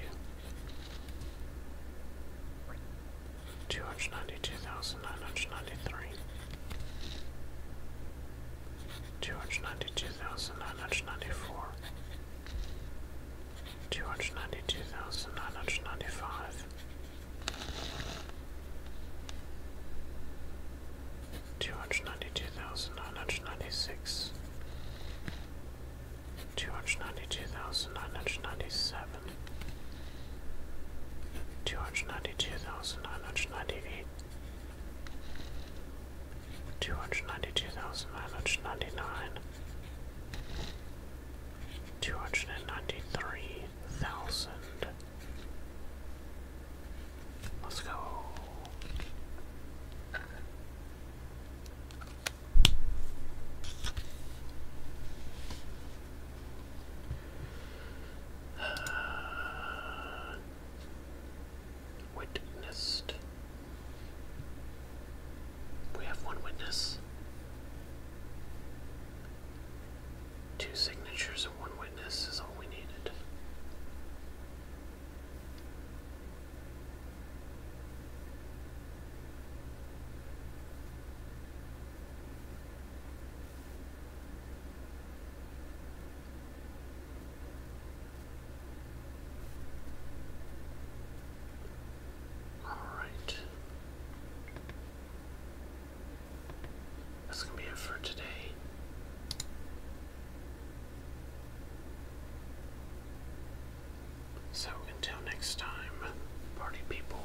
two hundred ninety two thousand nine hundred ninety three, two hundred ninety two thousand nine hundred ninety four, two hundred ninety two thousand nine hundred ninety five, two hundred ninety two thousand nine hundred ninety six, two hundred ninety two thousand nine hundred ninety seven. Two hundred ninety two thousand nine hundred ninety eight, Two hundred ninety-two thousand nine hundred ninety-nine, two hundred and ninety-three thousand. Let's go. Witnessed. We have one witness. Two signatures and one witness is all we needed. All right. That's going to be it for today. So until next time, party people.